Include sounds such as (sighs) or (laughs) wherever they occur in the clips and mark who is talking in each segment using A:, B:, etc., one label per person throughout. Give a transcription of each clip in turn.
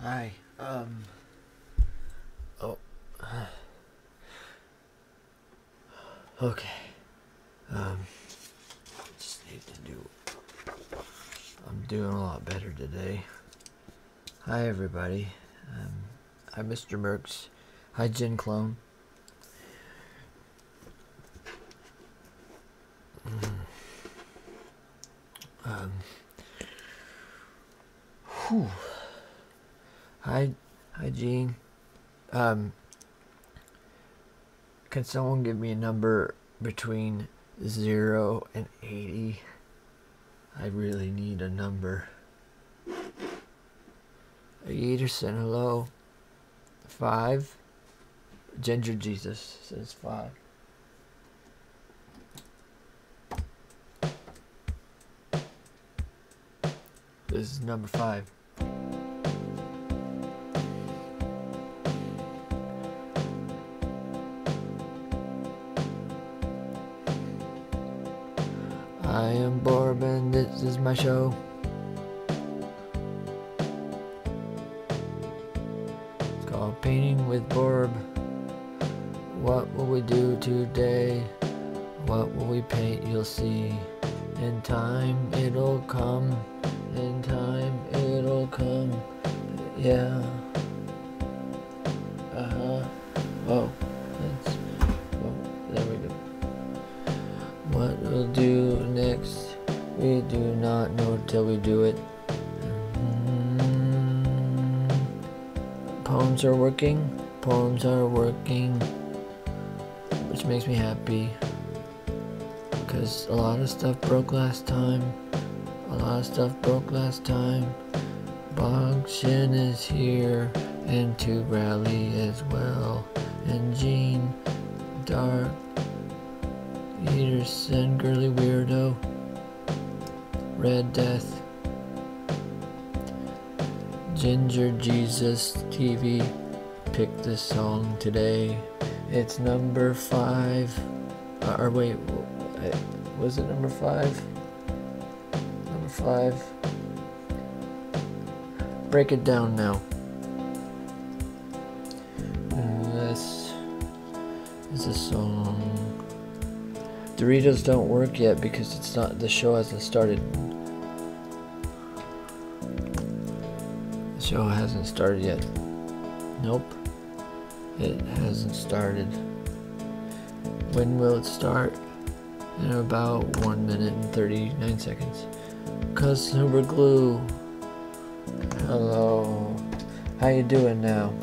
A: Hi. Um. Oh. (sighs) Okay. Um. Just need to do. I'm doing a lot better today. Hi, everybody. Um, hi, Mr. Merks. Hi, Gin Clone. Um, whew. Hi, hi, Gene. Um, can someone give me a number between zero and eighty? I really need a number. Ederson, hello. Five. Ginger Jesus says five. This is number five. I am and this is my show. It's called Painting with Borb. What will we do today? What will we paint? You'll see. In time it'll come. In time it'll come. Yeah. Uh huh. Oh, That's. Whoa. Oh, there we go. What we'll do next? We do not know till we do it. Mm-hmm. Poems are working. Poems are working. Which makes me happy. Because a lot of stuff broke last time. A lot of stuff broke last time. Bong Shin is here. And to Rally as well. And Jean. Dark. Ederson, Girly Weirdo. Red Death. Ginger Jesus TV picked this song today. It's number five. Uh, or wait, was it number five? Number five. Break it down now. This it's a song. Doritos don't work yet because it's not the show hasn't started. The show hasn't started yet. Nope. It hasn't started. When will it start? In about 1 minute and 39 seconds. Cause Customer glue. Hello. How you doing now?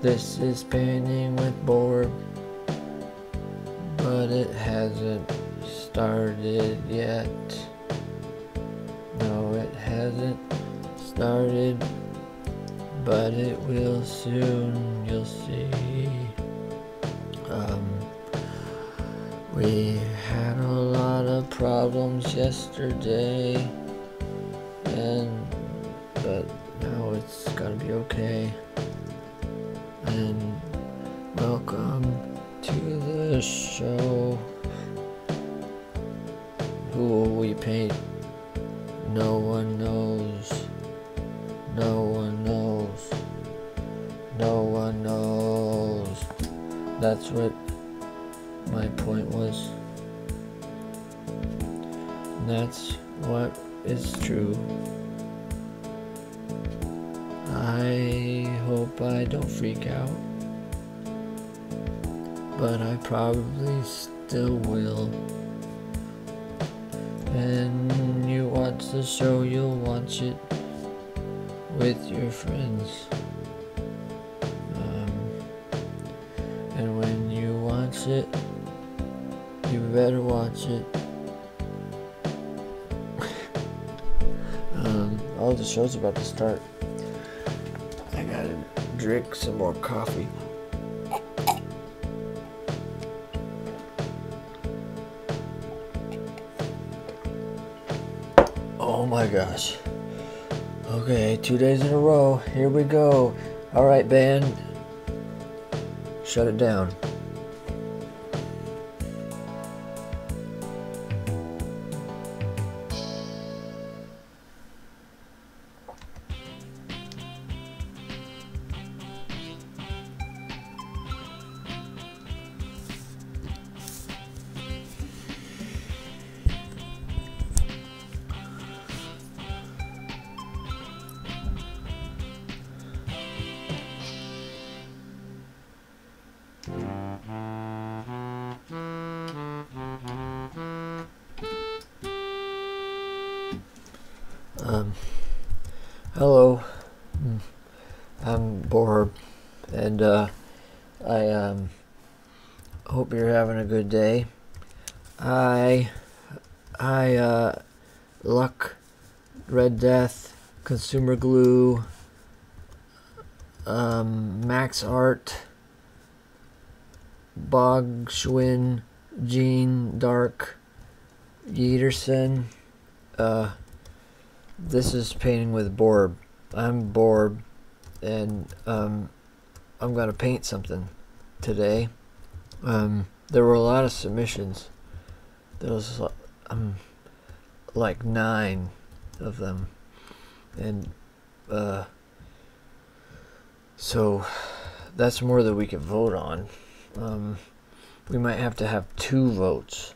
A: This is painting with board but it hasn't started yet. No, it hasn't started, but it will soon, you'll see. Um, we had a lot of problems yesterday, and but now it's gonna be okay and welcome to the show. Who will we paint? No one knows. No one knows. No one knows. That's what my point was. that's what is true. I hope I don't freak out, but I probably still will. And you watch the show, you'll watch it with your friends. Um, and when you watch it, you better watch it. um, all oh, the show's about to start. I gotta drink some more coffee. Oh my gosh. Okay, two days in a row. Here we go. All right, band. Shut it down. Um, hello, mm. I'm Borb, and uh, I um, hope you're having a good day. I I uh, luck, red death, consumer glue, um, max art, Bog Schwinn, Gene Dark, Yeterson. Uh, this is painting with Borb. I'm Borb, and um, I'm gonna paint something today. Um, there were a lot of submissions. There was um, like nine of them, and uh, so that's more that we could vote on. Um, we might have to have two votes.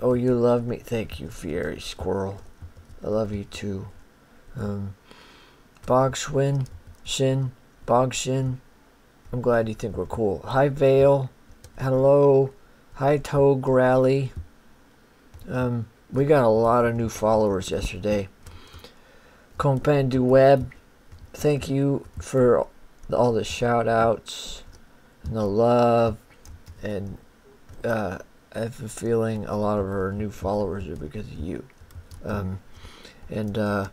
A: Oh, you love me. Thank you, Fiery Squirrel. I love you too. Um, um, Shin, Bogshin. I'm glad you think we're cool. Hi, Vale. Hello. Hi, Toe Grally. Um, we got a lot of new followers yesterday. Compain du Web, thank you for all the shout outs and the love. And uh, I have a feeling a lot of our new followers are because of you. Um, and uh,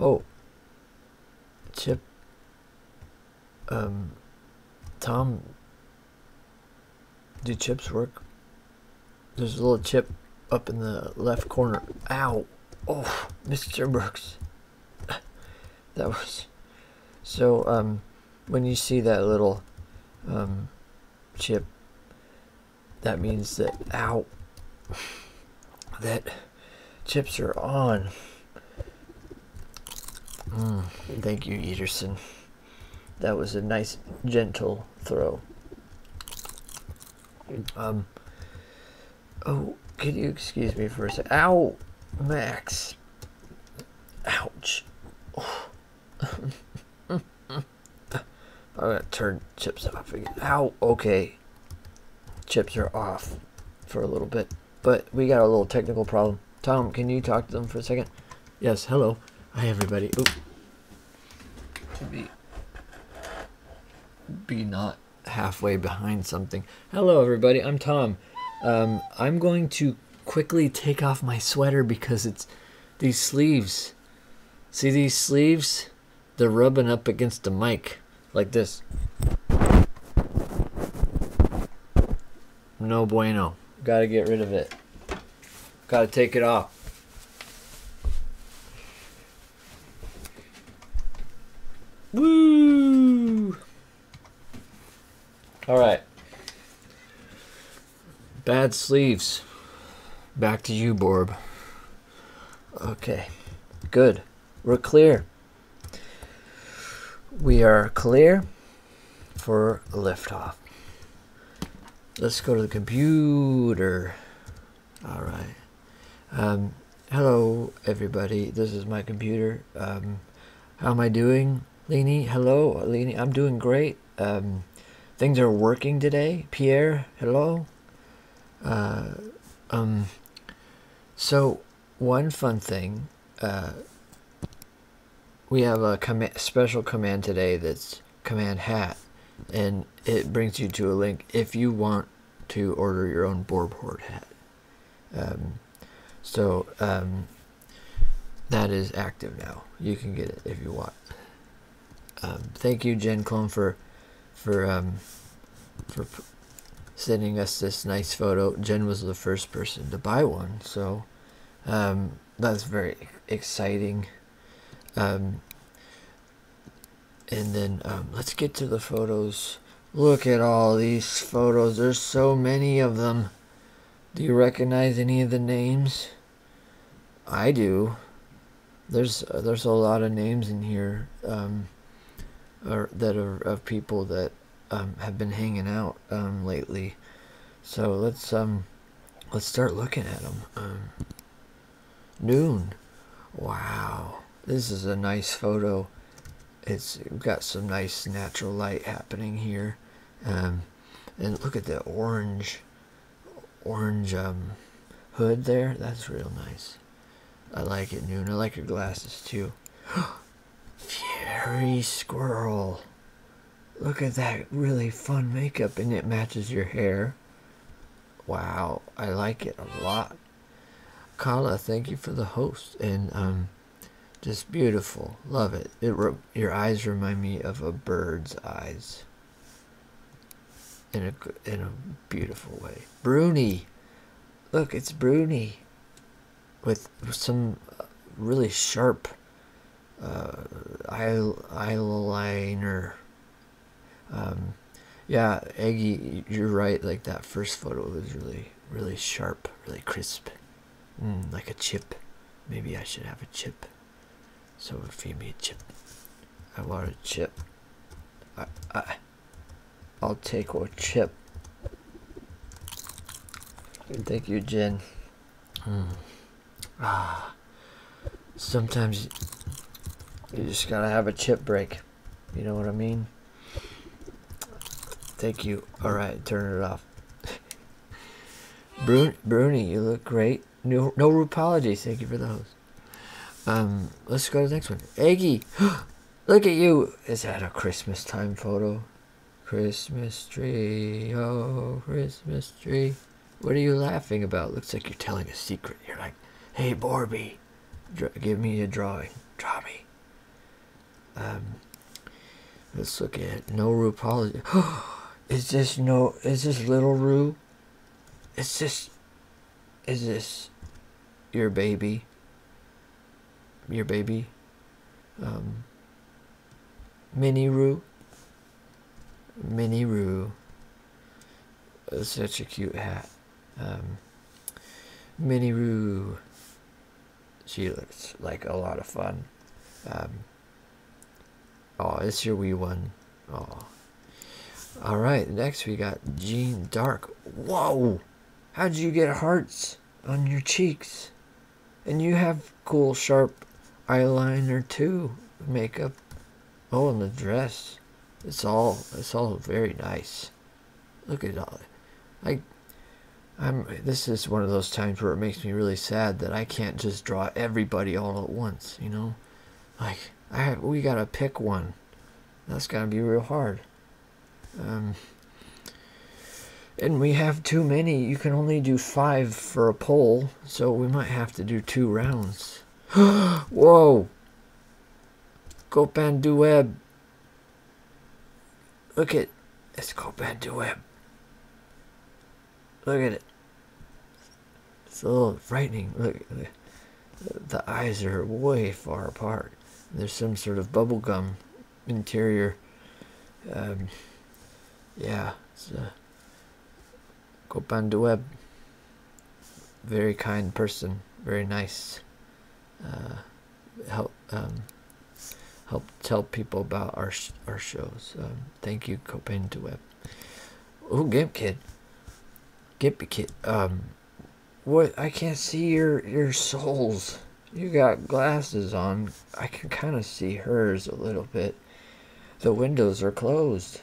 A: Oh, Chip, um, Tom, do chips work? There's a little chip up in the left corner. Ow! Oh, Mr. Brooks. (laughs) that was... So, um, when you see that little, um, chip, that means that out that chips are on. Mm, thank you, Ederson. That was a nice, gentle throw. Um. Oh, can you excuse me for a sec? Ow, Max. Ouch. (laughs) (laughs) I'm gonna turn chips off How? Okay. Chips are off for a little bit. But we got a little technical problem. Tom, can you talk to them for a second? Yes, hello. Hi, everybody. be, be not halfway behind something. Hello, everybody. I'm Tom. Um, I'm going to quickly take off my sweater because it's these sleeves. See these sleeves? They're rubbing up against the mic like this. No bueno. Gotta get rid of it. Gotta take it off.
B: Woo!
A: Alright. Bad sleeves. Back to you, Borb. Okay, good. We're clear. We are clear for liftoff. Let's go to the computer. All right. Um, hello, everybody. This is my computer. Um, how am I doing, Lini? Hello, Lini. I'm doing great. Um, things are working today. Pierre, hello. Uh, um, so one fun thing, uh, we have a special command today that's command hat, and it brings you to a link if you want to order your own board hat. Um, so um, that is active now. You can get it if you want. thank you, Jen Clone, for for um, for sending us this nice photo. Jen was the first person to buy one, so um, that's very exciting. Um, and then um, let's get to the photos. Look at all these photos. There's so many of them. Do you recognize any of the names? I do there's there's a lot of names in here um, or that are of people that um, have been hanging out um, lately. So let's um let's start looking at them. noon, wow, this is a nice photo. It's got some nice natural light happening here, and look at the orange orange um, hood there. That's real nice. I like it, Noon. I like your glasses too. (gasps) Fury Squirrel. Look at that really fun makeup, and it matches your hair. Wow, I like it a lot. Kala, thank you for the host, and um, just beautiful. Love it. It your eyes remind me of a bird's eyes in a in a beautiful way. Bruni, look, it's Bruni, with some uh, really sharp uh, eyeliner. Um, yeah, Eggy, you're right. Like that first photo was really, really sharp, really crisp, mm, like a chip. Maybe I should have a chip. So feed me a chip. I want a chip. I, I, I'll take a chip. Thank you, Jen. Hmm. Ah. sometimes you just gotta have a chip break. You know what I mean? Thank you. All right, turn it off. (laughs) Bruni, Bruni, you look great. No, apologies. Thank you for the host. Um, let's go to the next one. Aggie. (gasps) look at you. Is that a Christmas time photo? Christmas tree, oh, Christmas tree. What are you laughing about? Looks like you're telling a secret. You're like, hey, Borby, give me a drawing. Draw me. Um, let's look at no Polly. (gasps) is this no, is this little Rue? It's this? Is this your baby? Your baby? Um, Mini Roo? Mini Roo. Such a cute hat. Um, Mini Roo. She looks like a lot of fun. oh, it's your wee one. Oh, all right, next we got Jean Dark. Whoa! How'd you get hearts on your cheeks? And you have cool, sharp eyeliner too, makeup. Oh, and the dress. It's all it's all very nice. Look at all. I, I'm. This is one of those times where it makes me really sad that I can't just draw everybody all at once. You know, like I we gotta pick one that's going to be real hard. Um, and we have too many. You can only do five for a poll, so we might have to do two rounds. (gasps) Whoa! Copan Dueb. Look at it. it's Copan Dueb. Look at it. It's a little frightening. Look, at it the eyes are way far apart. There's some sort of bubblegum interior. Um, yeah, it's a uh, Copan de Very kind person, very nice. Uh, help um, help tell people about our our shows. Um, thank you, Copan Duweb. Web. Gimp Kid, Gimp Kid. What? I can't see your your souls. You got glasses on. I can kind of see hers a little bit. The windows are closed,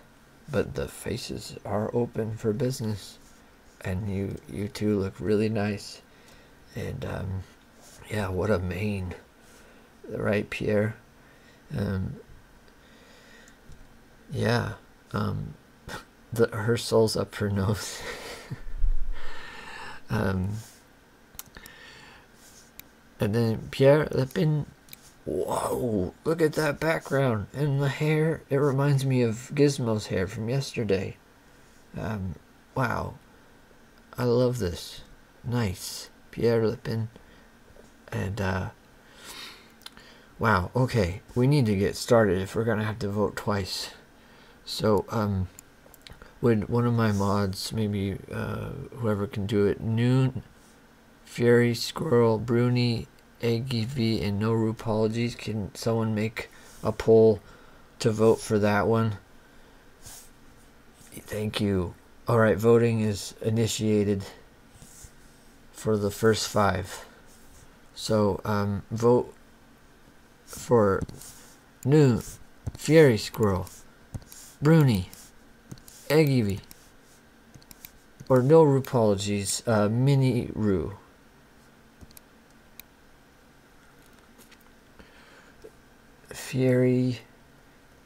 A: but the faces are open for business. And you you two look really nice. And um, yeah, what a mane. Right, Pierre. Um, yeah. Um, the her soul's up her nose. (laughs) um, and then Pierre Lepin. Whoa! Look at that background and the hair. It reminds me of Gizmo's hair from yesterday. Um, wow! I love this. Nice, Pierre Lepin, and uh, Wow, okay, we need to get started if we're going to have to vote twice. So, um, would one of my mods, maybe uh, whoever can do it, Noon, Fury, Squirrel, Bruni, Aggie V, and No Rupologies, can someone make a poll to vote for that one? Thank you. All right, voting is initiated for the first five. So um, vote for new fairy squirrel, Bruni, Eggy, or no Rupologies, uh, Mini Roo. Fury,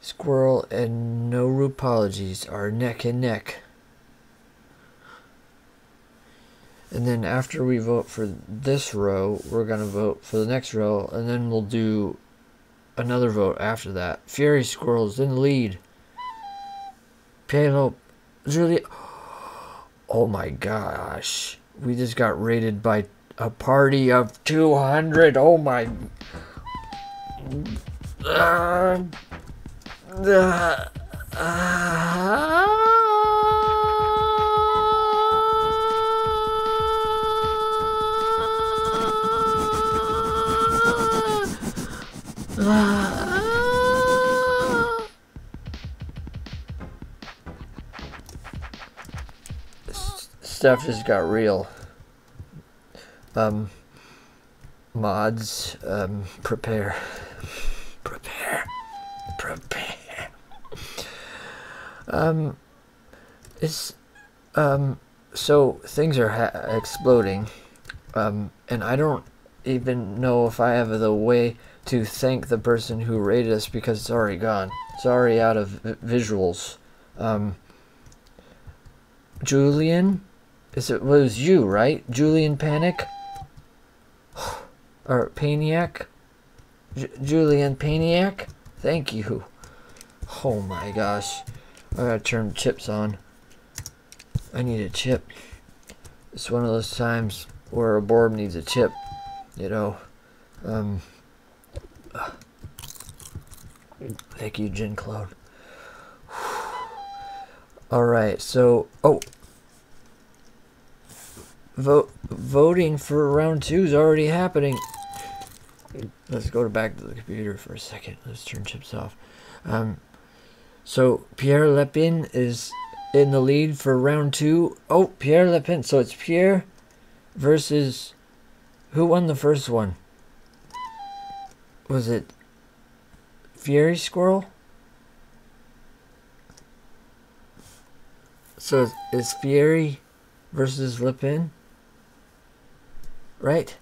A: Squirrel, and No Rupologies are neck and neck and then after we vote for this row we're going to vote for the next row and then we'll do another vote after that fury squirrels in the lead Palo Julia oh my gosh we just got raided by a party of 200 oh my ah. Uh, Stuff has got real. Um, mods, um, prepare, prepare, prepare. Um, it's um, so things are exploding, um, and I don't even know if I have the way to thank the person who rated us because it's already gone. It's already out of visuals. Um, Julian, is it was you right? Julian Panic or Painiac, Julian Painiac. Thank you. Oh my gosh, I gotta turn chips on. I need a chip. It's one of those times where a board needs a chip, you know. Um, thank you, Gin Cloud. (sighs) All right, so oh, Vote voting for round two is already happening. Let's go back to the computer for a second. Let's turn chips off. Um, so Pierre Lepin is in the lead for round two. Oh, Pierre Lepin. So it's Pierre versus who won the first one? Was it Fury Squirrel? So is Fury versus Lipin? Right?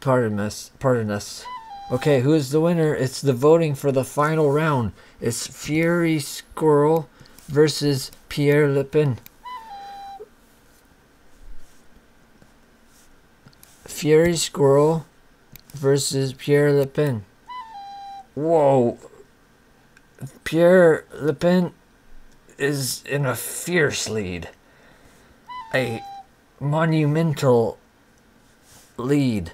A: Pardon us. Pardon us. Okay, who is the winner? It's the voting for the final round. It's Fury Squirrel versus Pierre Lipin. Fury Squirrel versus Pierre Le Pen. Whoa. Pierre Le Pen is in a fierce lead. A monumental lead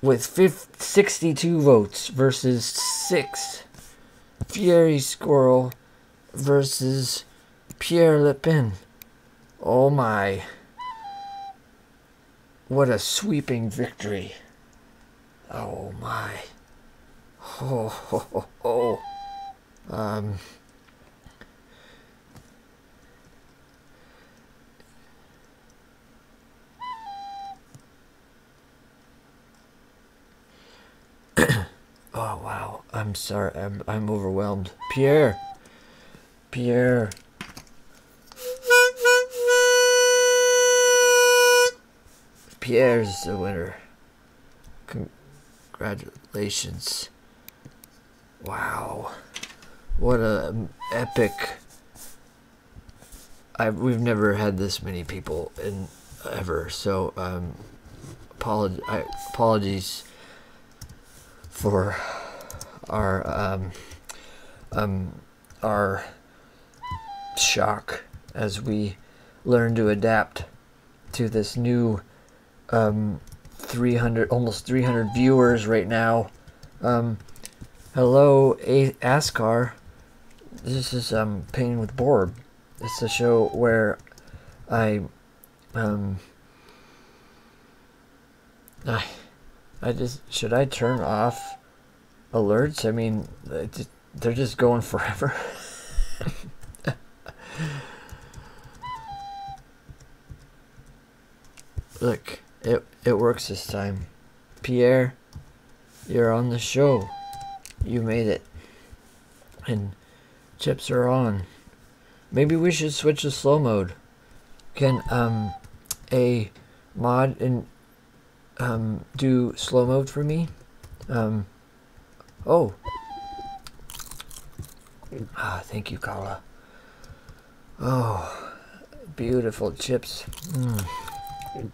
A: with 50, 62 votes versus 6. Fury Squirrel versus Pierre Le Pen. Oh my. What a sweeping victory. Oh my. Oh oh oh! Um. (coughs) oh wow, I'm sorry, I'm I'm overwhelmed. Pierre, Pierre. Pierre's the winner. Congratulations. Wow. What a um, epic. I, we've never had this many people in ever, so um, apolog apologies for our um, um, our shock as we learn to adapt to this new um, 300 almost 300 viewers right now um, hello A ascar this is um, painting with borb it's a show where i um, I, I just should I turn off alerts? I mean, they're just going (laughs) forever. Look, it it works this time. Pierre, you're on the show. You made it. And chips are on. Maybe we should switch to slow mode can um, a mod um, do slow mode for me? Um, oh. Ah, thank you, Kala. Oh, beautiful chips. Mm.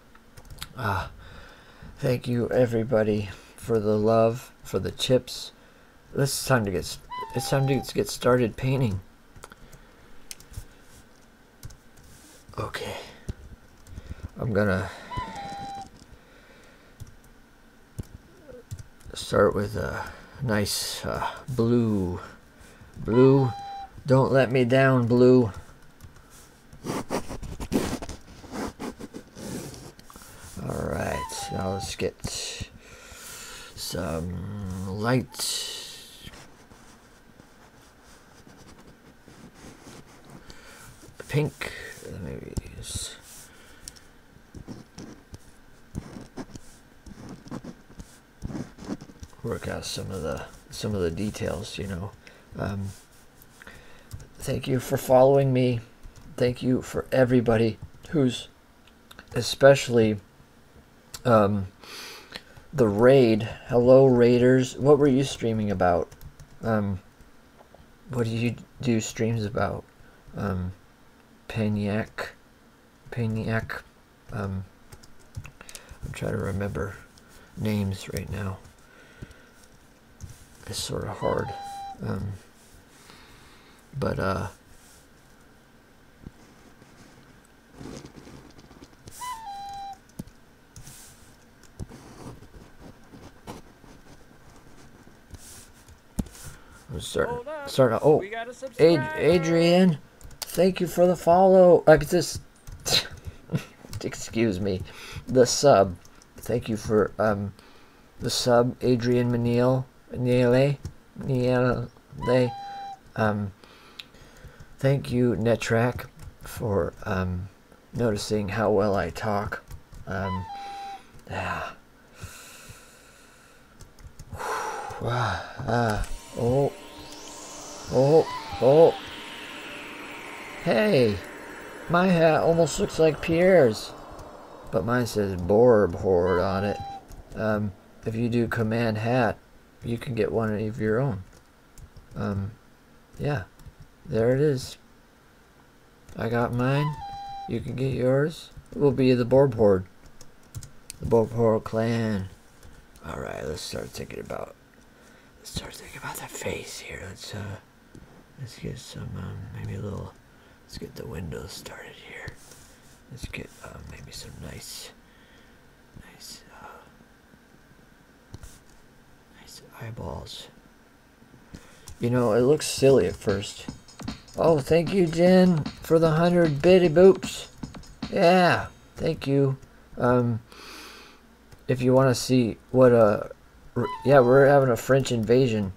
A: Ah, thank you, everybody, for the love, for the chips. It's time to get. It's time to get started painting. Okay. I'm gonna start with a nice uh, blue. Blue, don't let me down, blue. Alright, now let's get some light Pink, maybe it is. Work out some of the some of the details, you know. Um, thank you for following me. Thank you for everybody who's especially um, the raid. Hello, raiders. What were you streaming about? Um, what do you do streams about? Um, Paniac. Paniac. Um, I'm trying to remember names right now. It's sort of hard. Um, but, uh, I'm starting, starting, oh, Ad Adrian, thank you for the follow, like this, (laughs) excuse me, the sub, thank you for, um, the sub, Adrian Manil, Manile, Manile, they um, thank you netrack for um, noticing how well i talk um, yeah. (sighs) Ah, ah. oh. Oh. Oh. Hey. My hat almost looks like Pierre's. But mine says Borb Horde on it. Um, if you do command hat, you can get one of your own. Um, yeah, there it is. I got mine. You can get yours. It will be the Borb Horde. The Borb Horde clan. Alright, let's start thinking about... Let's start thinking about the face here. Let's, uh... Let's get some, um, maybe a little... Let's get the windows started here. Let's get, uh, maybe some nice... Nice, uh, nice eyeballs. You know, it looks silly at first. Oh, thank you, Jen, for the hundred bitty boops. Yeah, thank you. Um, if you want to see what a, uh, yeah, we're having a French invasion.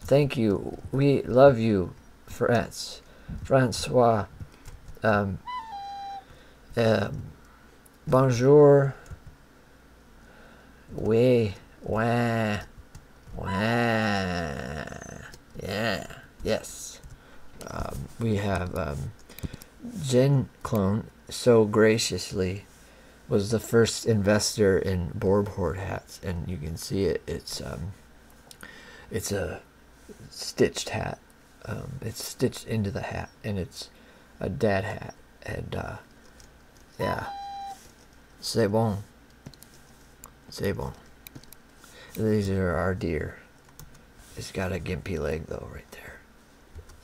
A: Thank you. We love you, France. Francois. Um, um, bonjour. We. Wah. Wah. Yeah. Yes. Um, we have um, Jen Clone so graciously was the first investor in board hats, and you can see it. It's um, it's a stitched hat. Um, it's stitched into the hat, and it's a dad hat. And uh, yeah, c'est bon, c'est bon. These are our deer. It's got a gimpy leg though, right there,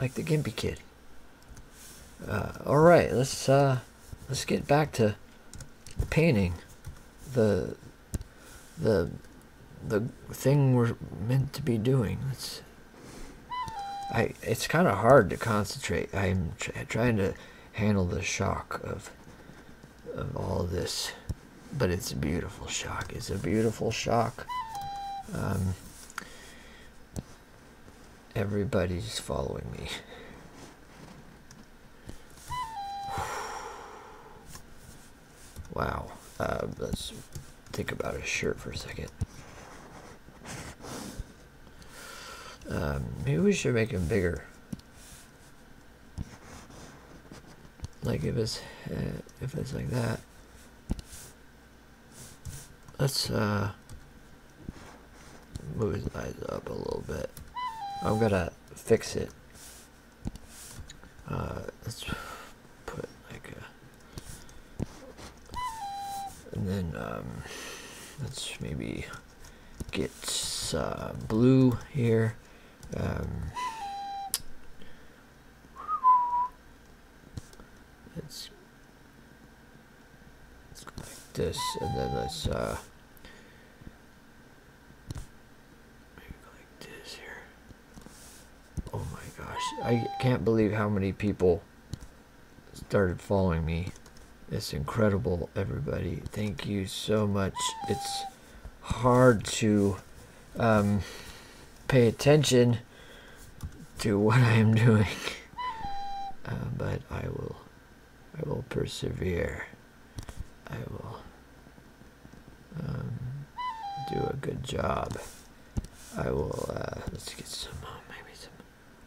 A: like the gimpy kid. Uh, all right, let's uh, let's get back to painting the the the thing we're meant to be doing. It's I. It's kind of hard to concentrate. I'm trying to handle the shock of of all this, but it's a beautiful shock. It's a beautiful shock. Um, everybody's following me. Wow. Uh, let's think about his shirt for a second. Um, maybe we should make him bigger. Like if it's uh, if it's like that. Let's uh, move his eyes up a little bit. I'm gonna fix it uh, let's put like and then um, let's maybe get uh, blue here. Um, let's like this, and then let's uh, like this here. Oh my gosh, I can't believe how many people started following me. It's incredible, everybody. Thank you so much. It's hard to um, pay attention to what I am (laughs) doing, uh, but I will. I will persevere. I will um, do a good job. I will, uh, let's get some, uh, maybe some,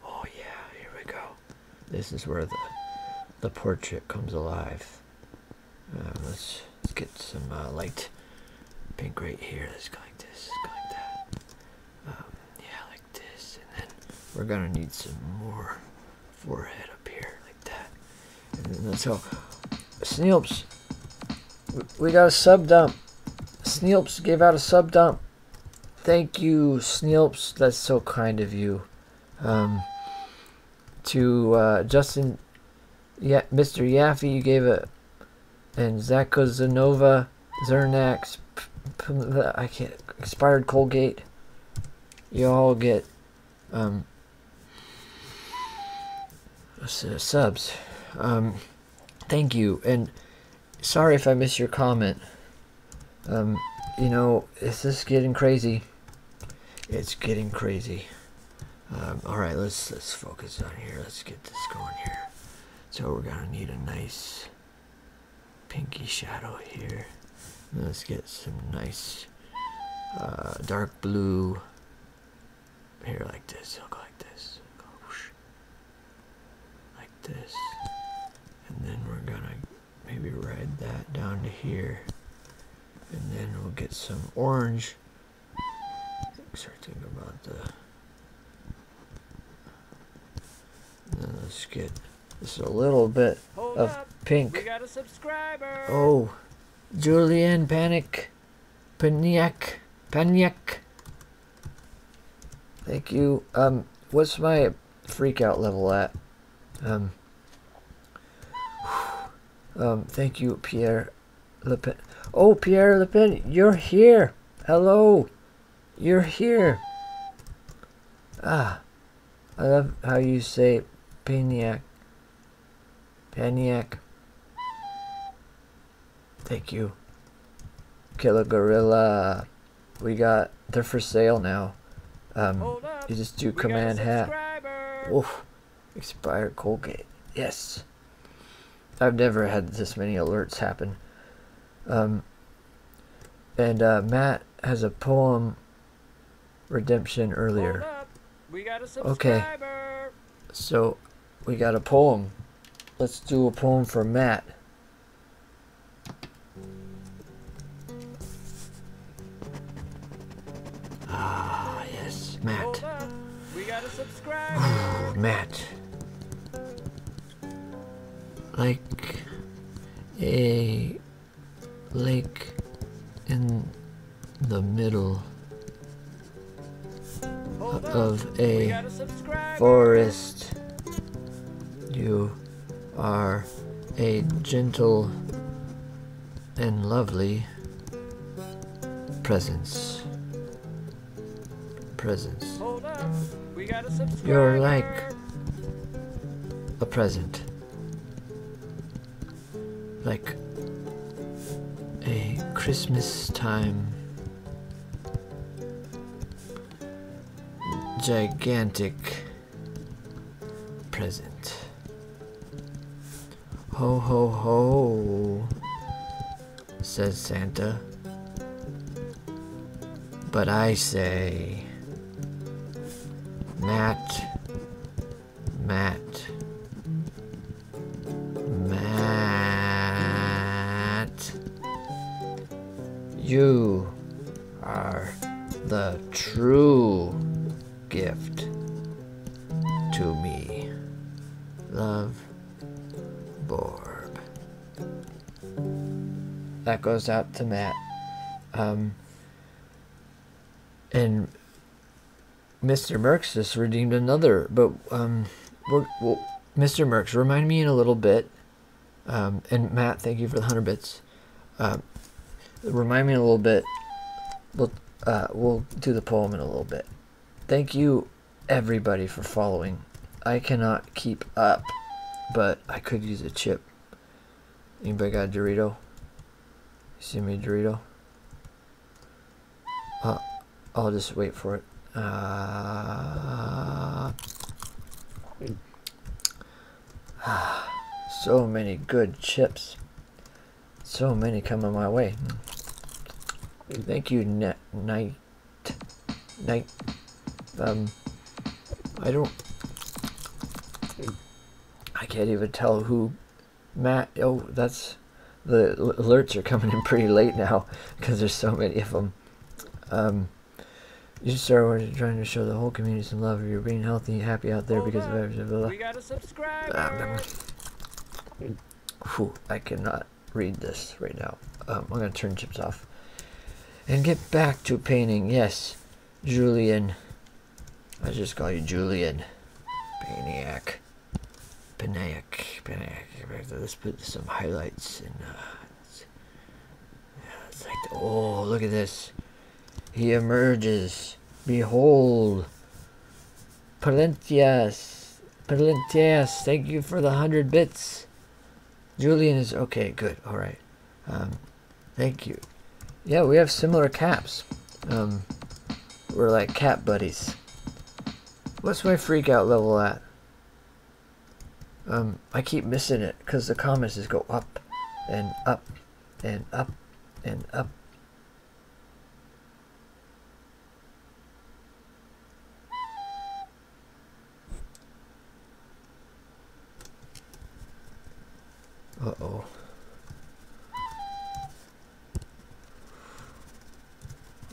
A: oh yeah, here we go. This is where the, the portrait comes alive. Uh, let's, let's get some light pink right here. Let's go like this, go like that. Um, yeah, like this. And then we're gonna need some more forehead up here, like that. So, Sneelps, we got a sub dump. Sneelps gave out a sub dump. Thank you, Sneelps. That's so kind of you. Um, to uh, Justin, yeah, Mr. Yaffe, you gave it. and Zako Zanova, Zernax, I can't, expired Colgate. You all get um, uh, subs. Um, thank you, and sorry if I miss your comment. Um, you know, is this getting crazy? It's getting crazy. Um, all right, let's let's focus on here. Let's get this going here. So we're gonna need a nice pinky shadow here. let's get some nice uh, dark blue here, like this. He'll go like this. Go like this. And then we're gonna maybe ride that down to here. And then we'll get some orange. Start thinking about the. let's get just a little bit of pink. Oh, Julianne Panic. Paniak. Paniak. Thank you. Um, what's my freak out level at? Um, (sighs) um, thank you, Pierre Lepin. Oh, Pierre Lepin, you're here. Hello. You're here. Ah, I love how you say Paniak. Paniac. Thank you. Killer Gorilla. We got, they're for sale now. Um, you just do command hat. Oof. Expired Colgate. Yes. I've never had this many alerts happen. Um, and uh, Matt has a poem redemption earlier. Okay. So we got a poem. Let's do a poem for Matt. Ah, yes, Matt.
B: Ooh, Matt.
A: Like a lake in the middle of a forest. You are a gentle and lovely presence. Presence.
B: You're like
A: a present like a Christmas time gigantic present. Ho ho ho, says Santa. But I say, Matt, Matt, Matt, you are the true gift to me. Love, Borb. That goes out to Matt. Um, and Mr. Merckx just redeemed another, but um, we're, Mr. Merckx, remind me in a little bit. Um, and Matt, thank you for the hundred bits. Uh, remind me in a little bit. We'll uh, we'll do the poem in a little bit. Thank you, everybody, for following. I cannot keep up, but I could use a chip. Anybody got a Dorito? see me, Dorito? Uh, I'll just wait for it. Uh, (sighs) so many good chips. So many coming my way. Thank you, Net Night. Night. Um, I don't. I can't even tell who Matt, oh, that's the alerts are coming in pretty late now because there's so many of them. Um, you you started trying to show the whole community some love. You're being healthy, happy out there because of everything. We got a subscriber. whew, ah, I cannot read this right now. Um, I'm gonna turn chips off and get back to painting. Yes, Julian. I just call you Julian, maniac. Panayak, Panayak. Let's put some highlights in. Uh, it's, like, oh, look at this. He emerges. Behold, Palentias, Palentias. Thank you for the hundred bits. Julian is okay. Good. All right. Um, thank you. Yeah, we have similar caps. Um, we're like cat buddies. What's my freak out level at? Um, I keep missing it because the comments just go up and up and up and up. Uh-oh.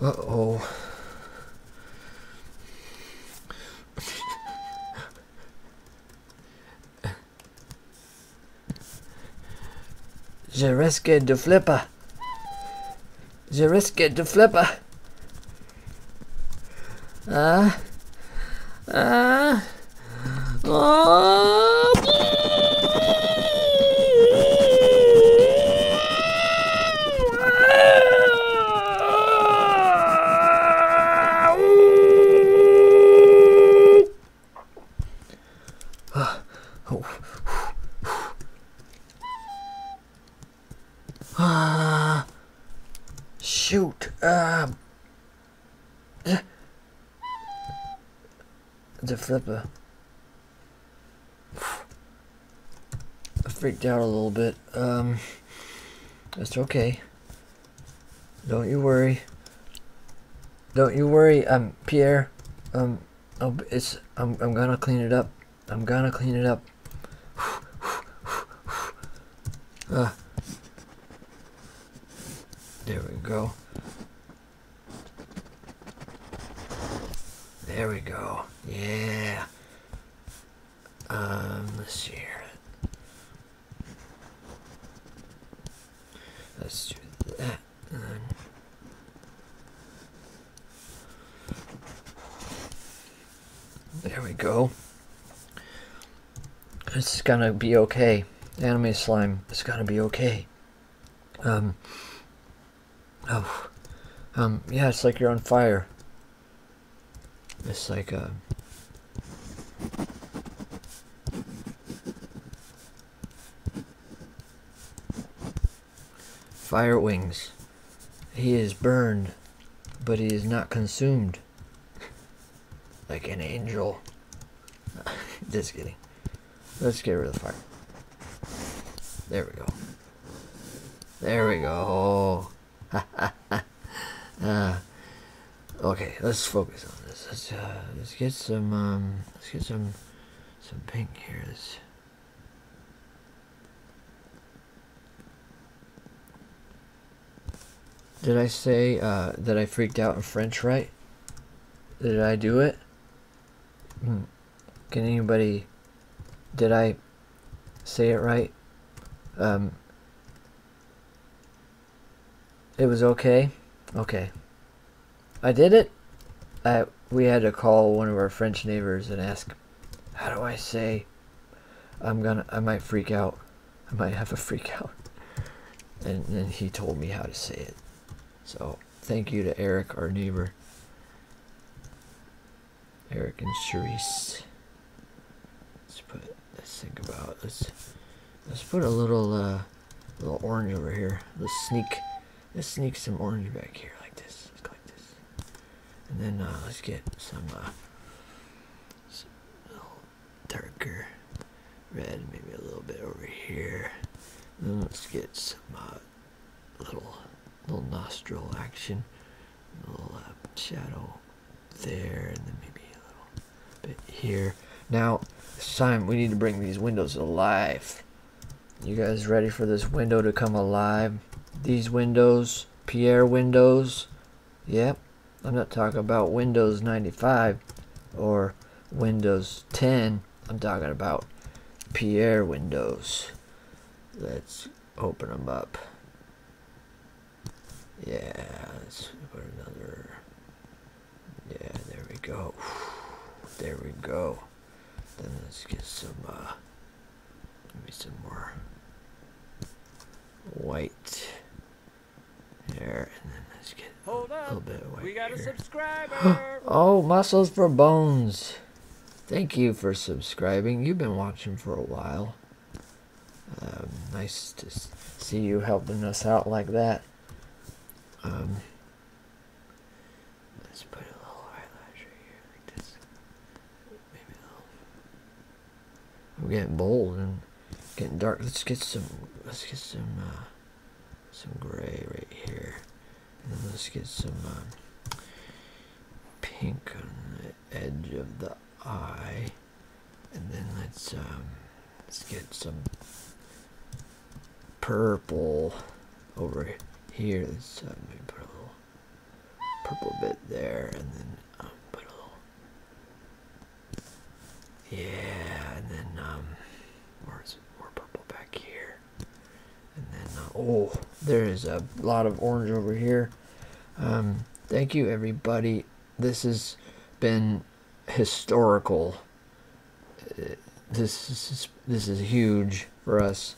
A: Uh-oh. Je risque de flipper. Je risque de flipper. Ah. Ah.
B: Oh.
A: Ah, uh, shoot. Um, uh, the flipper. I freaked out a little bit. Um, it's okay. Don't you worry. Don't you worry, um, Pierre. Um, i it's I'm I'm gonna clean it up. I'm gonna clean it up. Uh, (sighs) there we go. There we go. Yeah. Um, let's see here. Let's do that. there we go. It's gonna be okay. Enemy slime. It's gonna be okay. Um, Oh, um, yeah, it's like you're on fire. It's like a. Uh, fire wings. He is burned, but he is not consumed. (laughs) Like an angel. (laughs) Just kidding. Let's get rid of the fire. There we go. There we go. (laughs) Uh, okay, let's focus on this. Let's uh, let's get some um, let's get some some pink here. Did I say uh, that I freaked out in French right? Did I do it? Mm. Can anybody, did I say it right? Um, it was okay? Okay. I did it. I, we had to call one of our French neighbors and ask, how do I say, I'm gonna, I might freak out. I might have a freak out. And then he told me how to say it. So Thank you to Eric, our neighbor. Eric and Charisse. Let's put. Let's think about. Let's let's put a little uh, little orange over here. Let's sneak. Let's sneak some orange back here like this. And then uh, let's get some, uh, some darker red, maybe a little bit over here. then let's get some uh, little little nostril action, a little uh, shadow there, and then maybe a little bit here. Now, Simon, we need to bring these windows alive. You guys ready for this window to come alive? These windows, Pierre windows. Yep, I'm not talking about Windows 95 or Windows 10. I'm talking about Pierre windows let's open them up. Yeah, let's put another. Yeah, there we go. There we go. Then let's get some, uh, maybe some more white there, and then let's get a little bit of white. here. (gasps) oh, muscles for bones. Thank you for subscribing. You've been watching for a while. Um, nice to see you helping us out like that. Um, let's put a little eyelash right here like this. Maybe a little. I'm getting bold and getting dark. Let's get some. Let's get some. Uh, some gray right here let's get some uh, pink on the edge of the eye, and then let's um, let's get some purple over here. Let's uh, put a little purple bit there, and then um, put a little yeah, and then um, more more purple back here. And then, uh, oh, there is a lot of orange over here. Um, thank you, everybody. This has been historical. Uh, this is this is huge for us.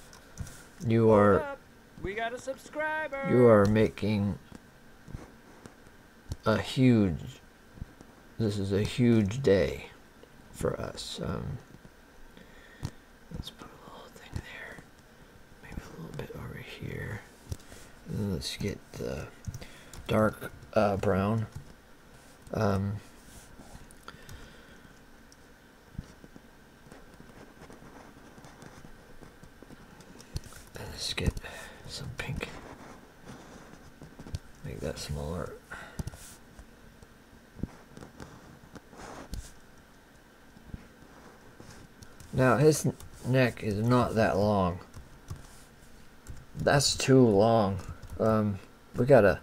A: You are. We got a subscriber. You are making a huge. This is a huge day for us. Um, Let's put a little thing there. Maybe a little bit over here. let's get the dark uh, brown. Um, let's get some pink. Make that smaller. Now his neck is not that long. That's too long. Um, we gotta.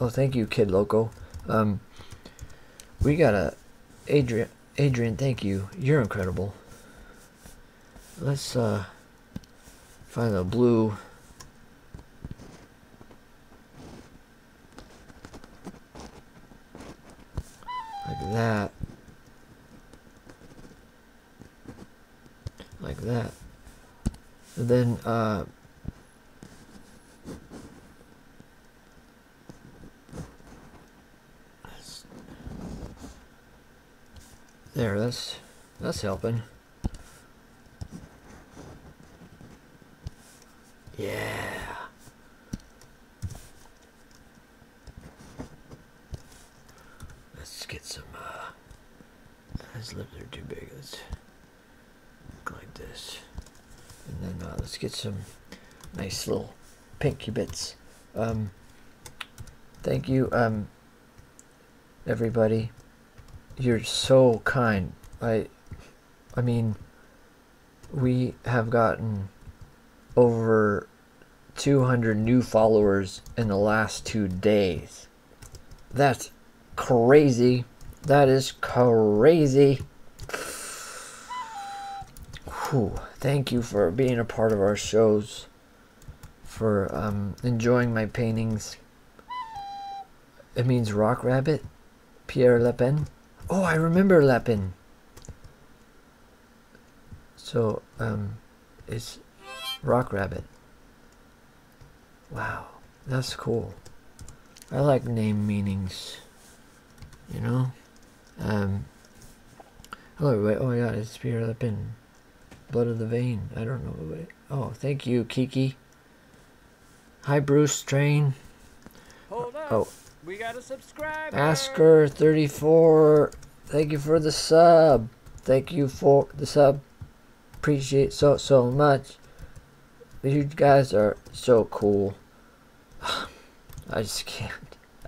A: Oh, thank you, Kid Loco. Um, we gotta. Adrian, Adrian, thank you. You're incredible. Let's uh, find the blue like that. Like that. then, uh, There, that's that's helping.
B: Yeah.
A: Let's get some, his lips are too big. Let's look like this. And then uh, let's get some nice little pinky bits. Um, thank you, um, everybody. You're so kind. I, I mean, we have gotten over 200 new followers in the last two days. That's crazy. That is crazy. Thank you for being a part of our shows, for um, enjoying my paintings. It means Rock Rabbit Pierre Lapin. Oh, I remember Lapin. So, um, it's Rock Rabbit. Wow, that's cool. I like name meanings, you know? Um, hello, oh, wait, oh my god, it's Pierre Lapin. Blood of the Vein. I don't know. What it, oh, thank you, Kiki. Hi, Bruce Strain.
B: Oh. We got a subscriber.
A: Asker34. Thank you for the sub. Thank you for the sub. Appreciate so, so much. You guys are so cool. (sighs) I just can't.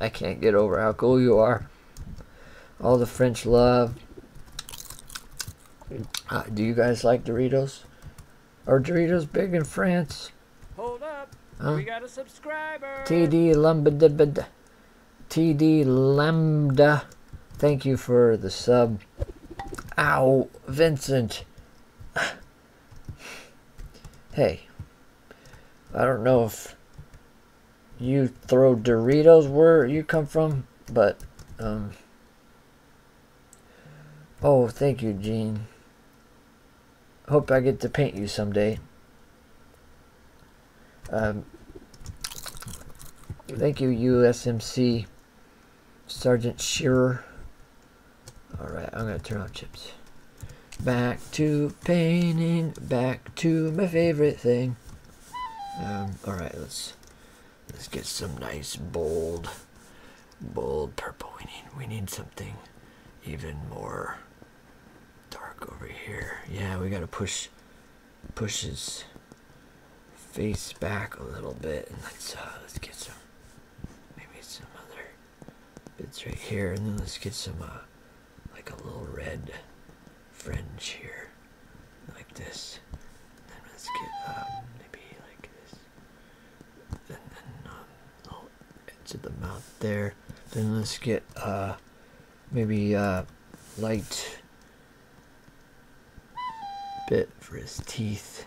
A: I can't get over how cool you are. All the French love. Uh, do you guys like Doritos? Are Doritos big in France? Hold up. We got a
B: subscriber.
A: TD Lambda. TD Lambda. Thank you for the sub. Ow, Vincent. (sighs) hey. I don't know if you throw Doritos where you come from, but um Oh, thank you, Jean. Hope I get to paint you someday. Um, thank you, USMC Sergeant Shearer. Alright, I'm going to turn on chips. Back to painting, back to my favorite thing. Um, Alright, let's let's get some nice bold bold purple. We need we need something even more dark over here. Yeah, we gotta push push his face back a little bit and let's uh let's get some maybe some other bits right here and then let's get some uh like a little red fringe here like this. then let's get um maybe like this. Into the mouth there. Then let's get uh, maybe a uh, light bit for his teeth.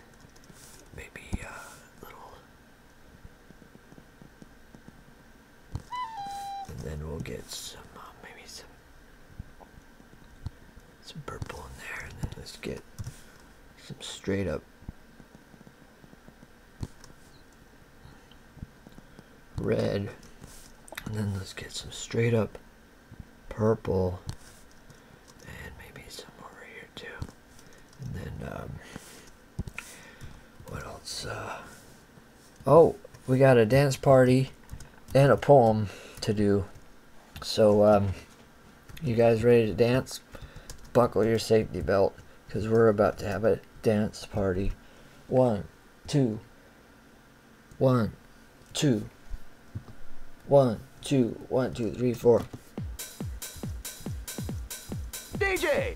A: Maybe a uh, little. And then we'll get some, maybe some, some purple in there. And then let's get some straight up red and then let's get some straight up purple and maybe some over here too and then um, what else uh, oh we got a dance party and a poem to do so um, you guys ready to dance? Buckle your safety belt because we're about to have a dance party. One, two, one, two, one, two, one, two, three, four. DJ!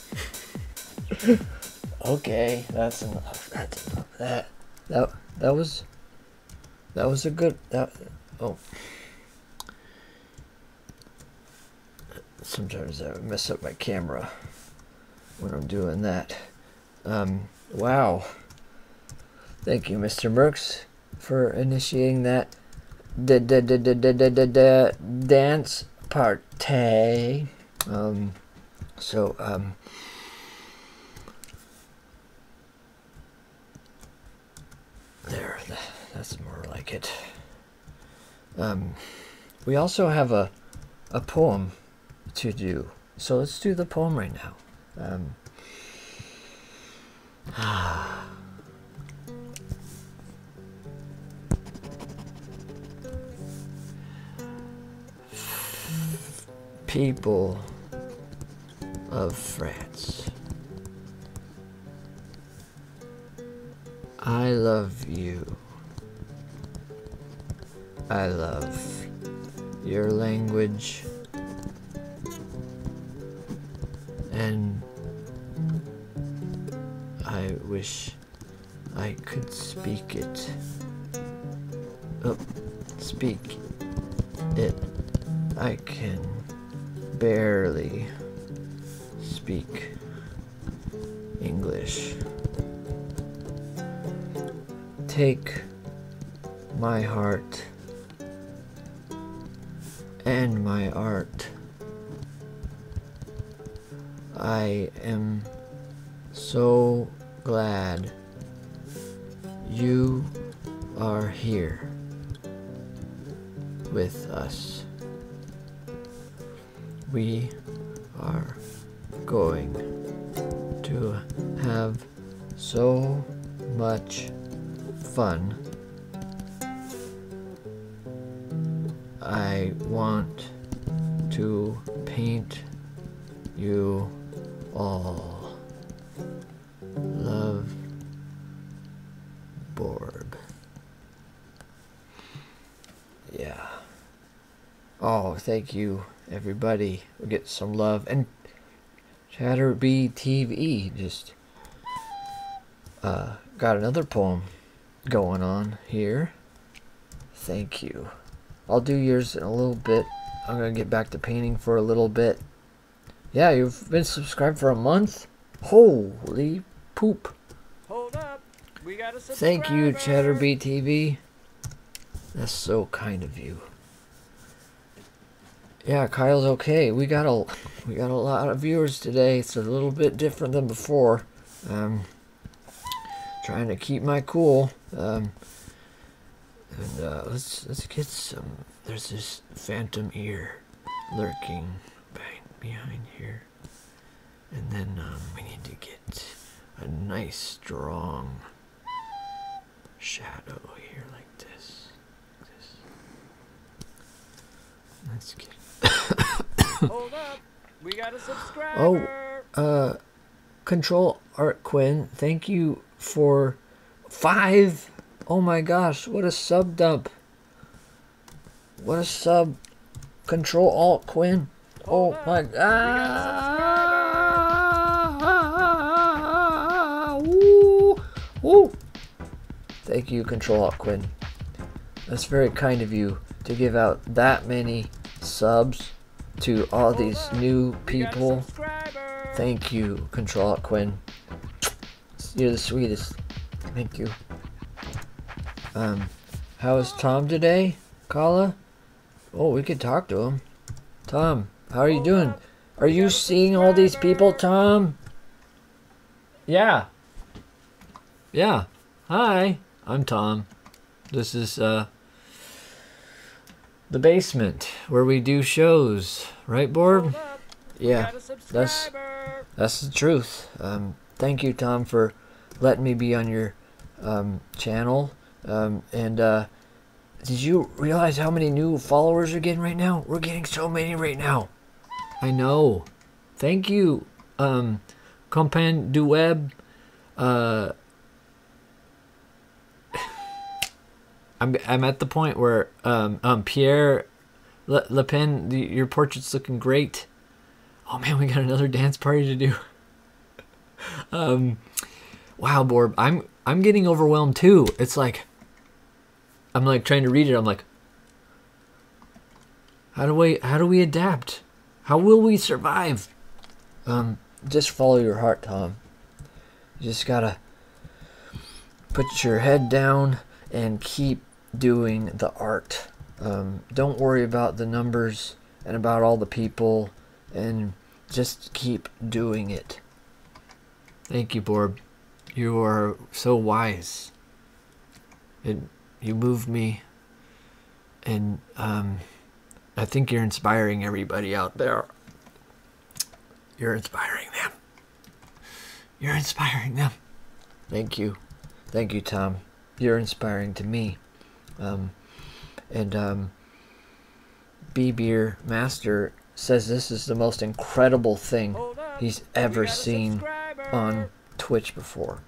A: (laughs) okay, that's enough. That's enough. That that that was that was a good that oh. Sometimes I mess up my camera when I'm doing that. Um, wow. Thank you, Mr. Merks, for initiating that da da da da da da da dance party. Um, so, um, there, that's more like it. Um, we also have a, a poem to do. So let's do the poem right now. Um, people of France. I love you. I love your language and I wish I could speak it. Oh, speak it. I can barely speak English. Take my heart and my art I am so glad you are here with us. We are going to have so much fun I want to paint you all. Love Borg. Yeah. Oh, thank you, everybody. we get some love. And Chatterbee TV just uh, got another poem going on here. Thank you. I'll do yours in a little bit. I'm going to get back to painting for a little bit. Yeah, you've been subscribed for a month? Holy poop. Hold up. We got a subscriber. Thank you, Chatterbee TV. That's so kind of you. Yeah, Kyle's okay. We got a we got a lot of viewers today. It's a little bit different than before. Um, Trying to keep my cool. Um, and uh, let's let's get some. There's this phantom here, lurking behind here, and then um, we need to get a nice strong shadow here like this. Let's get. (coughs) Hold up,
B: we got a oh, subscriber.
A: Oh, uh, Control Art Quinn, thank you for five. Oh my gosh, what a sub dump. What a sub. Control Alt Quinn. Oh my god. Ah,
B: ooh,
A: Thank you, Control Alt Quinn. That's very kind of you to give out that many subs to all these new people. Thank you, Control Quinn. You're the sweetest. Thank you. Um, how is Tom today, Kala? Oh, we could talk to him. Tom, how are you doing? Are you seeing all these people, Tom? Yeah. Yeah. Hi, I'm Tom. This is uh, the basement where we do shows, right, Borb? Yeah, that's that's the truth. Um, thank you, Tom, for letting me be on your um, channel. Um, and uh, did you realize how many new followers are getting right now? We're getting so many right now. I know. Thank you, um, Compagne du Web. Uh, (coughs) I'm I'm at the point where um um Pierre Le, Le Pen, your portrait's looking great. Oh man, we got another dance party to do. (laughs) um, wow, Borb, I'm I'm getting overwhelmed too. It's like I'm like trying to read it. I'm like, how do we how do we adapt? How will we survive? Um, just follow your heart, Tom. You just gotta put your head down and keep doing the art. Um, don't worry about the numbers and about all the people and just keep doing it. Thank you, Borb. You are so wise. and you move me and um, I think you're inspiring everybody out there. You're inspiring them. You're inspiring them. Thank you. Thank you, Tom. You're inspiring to me. Um, and um, B Beer Master says this is the most incredible thing he's ever seen on Twitch before.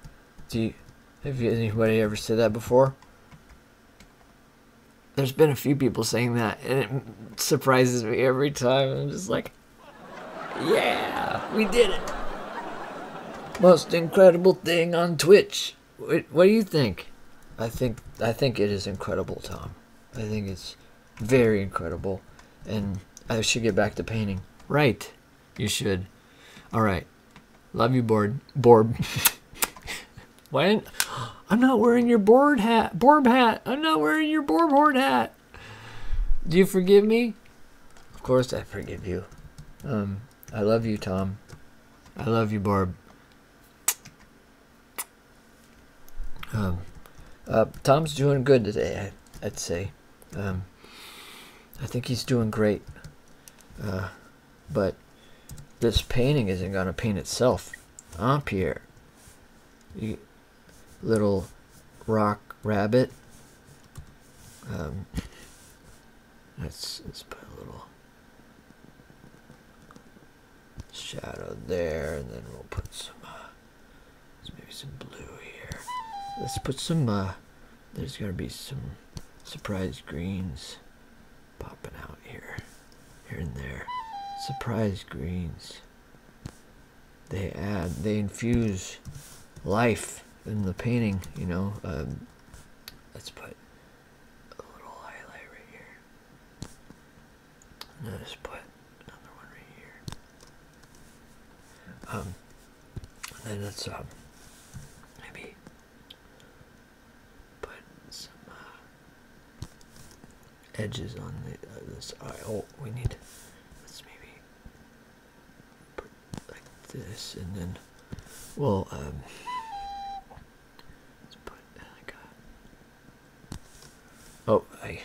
A: Do you, have anybody ever said that before? There's been a few people saying that, and it surprises me every time. I'm just like, yeah, we did it. Most incredible thing on Twitch. What, do you think? I think I think it is incredible, Tom. I think it's very incredible, and I should get back to painting. Right, you should. All right. Love you, Barb. Barb, (laughs) Why I'm not wearing your board hat. Borb hat. I'm not wearing your Borb board hat. Do you forgive me? Of course I forgive you. Um, I love you, Tom. I love you, Barb. Um, uh, Tom's doing good today, I, would say. Um, I think he's doing great. Uh, but this painting isn't going to paint itself up here. You, little rock rabbit. Um, let's, put a little shadow there, and then we'll put some, uh, maybe some blue here. Let's put some, uh, there's going to be some surprise greens popping out here, here and there. Surprise greens. They add, they infuse life in the painting, you know. Um, let's put a little highlight right here. And then just put another one right here. Um, and let's um, maybe put some uh, edges on uh, this eye. Oh, we need, let's maybe put like this and then Well, um, let's put uh, oh, I,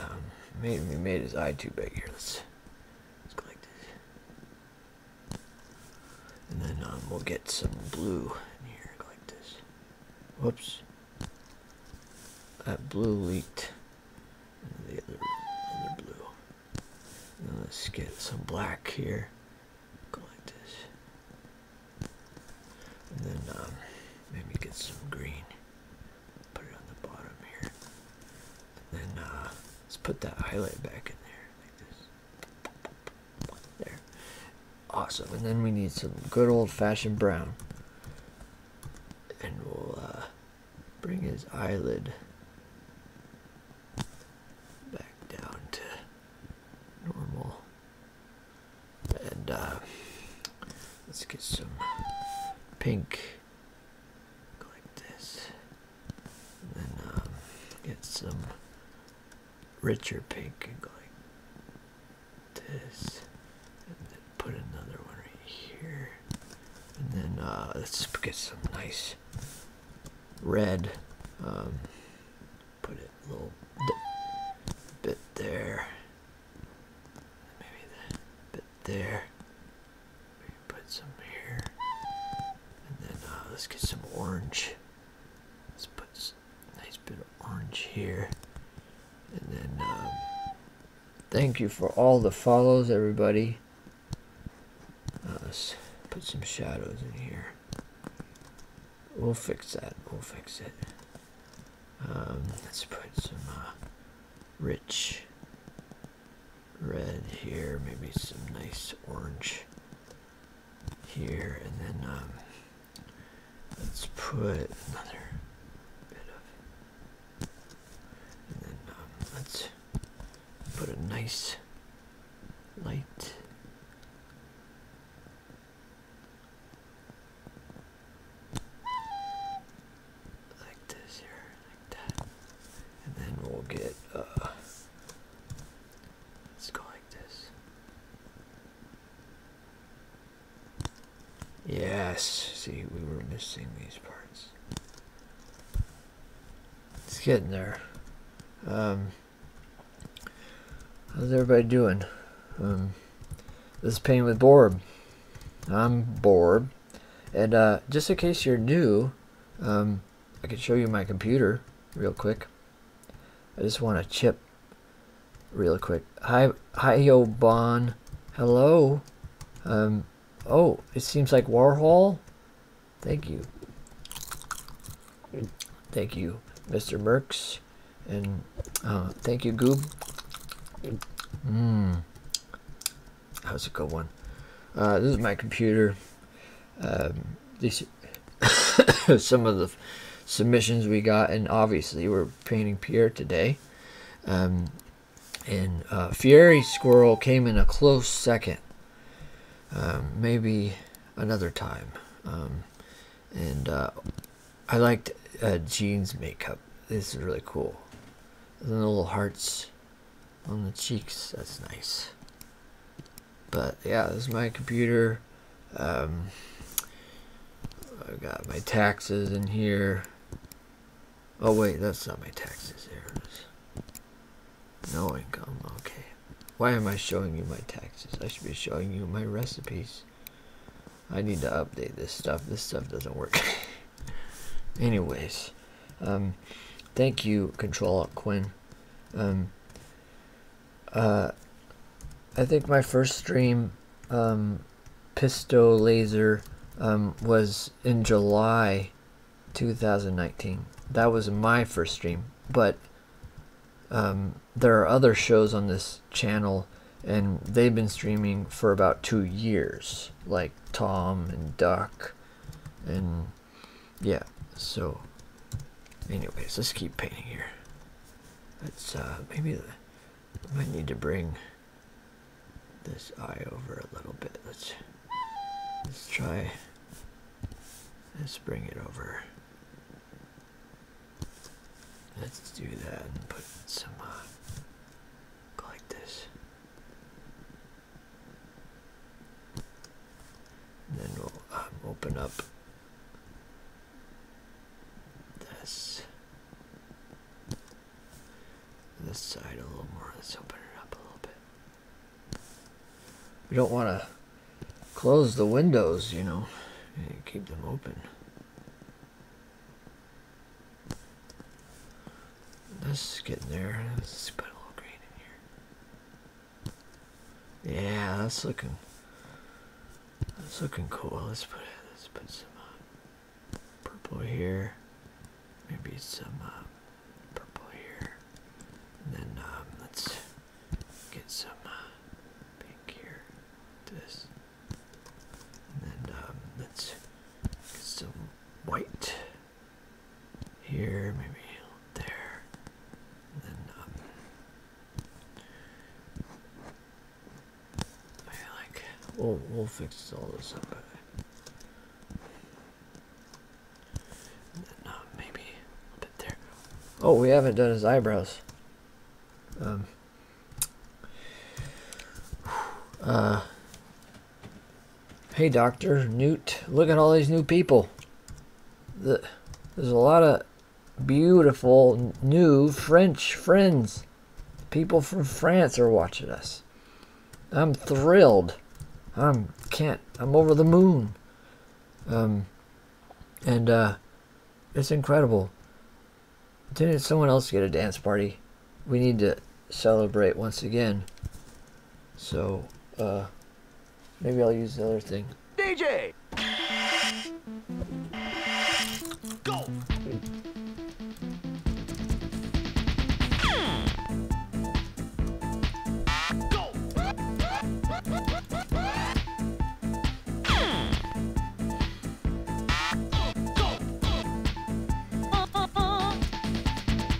A: um, made, we made his eye too big here. Let's, let's go like this. And then um, we'll get some blue in here like this. Whoops. That blue leaked the other, other blue. let's get some black here. Go like this. And then um, maybe get some green. Put it on the bottom here. And uh, let's put that highlight back in there like this. There. Awesome. And then we need some good old fashioned brown. And we'll uh, bring his eyelid back down to normal. And uh, let's get some pink. like this and uh, get some richer pink and go like this and then put another one right here and then uh, let's get some nice red um, put it a little bit there maybe that bit there put some here. And then uh, let's get some orange. Let's put a nice bit of orange here. And then um, thank you for all the follows, everybody. Uh, let's put some shadows in here. We'll fix that. We'll fix it. Um, let's put some uh, rich red here, maybe some nice orange here, and then um, let's put another bit of, and then um, let's put a nice light. Like this here, and then we'll get, uh, let's go like this. Yes, see, we were missing these parts. It's getting there. Um, how's everybody doing? Um, this is Painting with Borb. I'm Borb. And uh, just in case you're new, um, I can show you my computer real quick. I just want to chip real quick. Hi, hi, yo, Bon. Hello. Um, oh, it seems like Warhol. Thank you. Thank you, Mr. Merks. And uh, thank you, Goob. Mmm. How's it going? Uh, this is my computer um, these (coughs) some of the submissions we got, and obviously we're painting Pierre today. Um, and uh, Fiery Squirrel came in a close second, um, maybe another time. Um, and uh, I liked uh, Jean's makeup. This is really cool. The little hearts on the cheeks. That's nice. But yeah, this is my computer. Um, I've got my taxes in here. Oh wait, that's not my taxes. There it is. No income. Okay. Why am I showing you my taxes? I should be showing you my recipes. I need to update this stuff. This stuff doesn't work. (laughs) Anyways, um, thank you, Control Alt Quinn, um, uh, I think my first stream, um, Pisto Laser, um, was in July 2019. That was my first stream, but um, there are other shows on this channel and they've been streaming for about two years, like Tom and Duck and yeah so anyways let's keep painting here let's uh maybe i might need to bring this eye over a little bit let's let's try let's bring it over let's do that and put some uh, like this then we'll uh, open up this this side a little more. Let's open it up a little bit. We don't want to close the windows, you know, keep them open. This is getting there. Let's put a little green in here. Yeah, that's looking that's looking cool. Let's put let's put some uh, purple here. Maybe some uh, purple here. then um, let's get some uh, pink here. This. And um, let's get some white here, maybe there, then um, I like we'll we'll fix all this up. then, um, maybe a bit there. Oh, we haven't done his eyebrows. Um. Uh. Hey, Doctor Newt, look at all these new people the, there's a lot of beautiful new French friends. People from France are watching us. I'm thrilled. I'm can't. I'm over the moon. Um, and uh, it's incredible. Didn't someone else get a dance party? We need to celebrate once again. So, uh, Maybe I'll use the other thing. DJ! Go!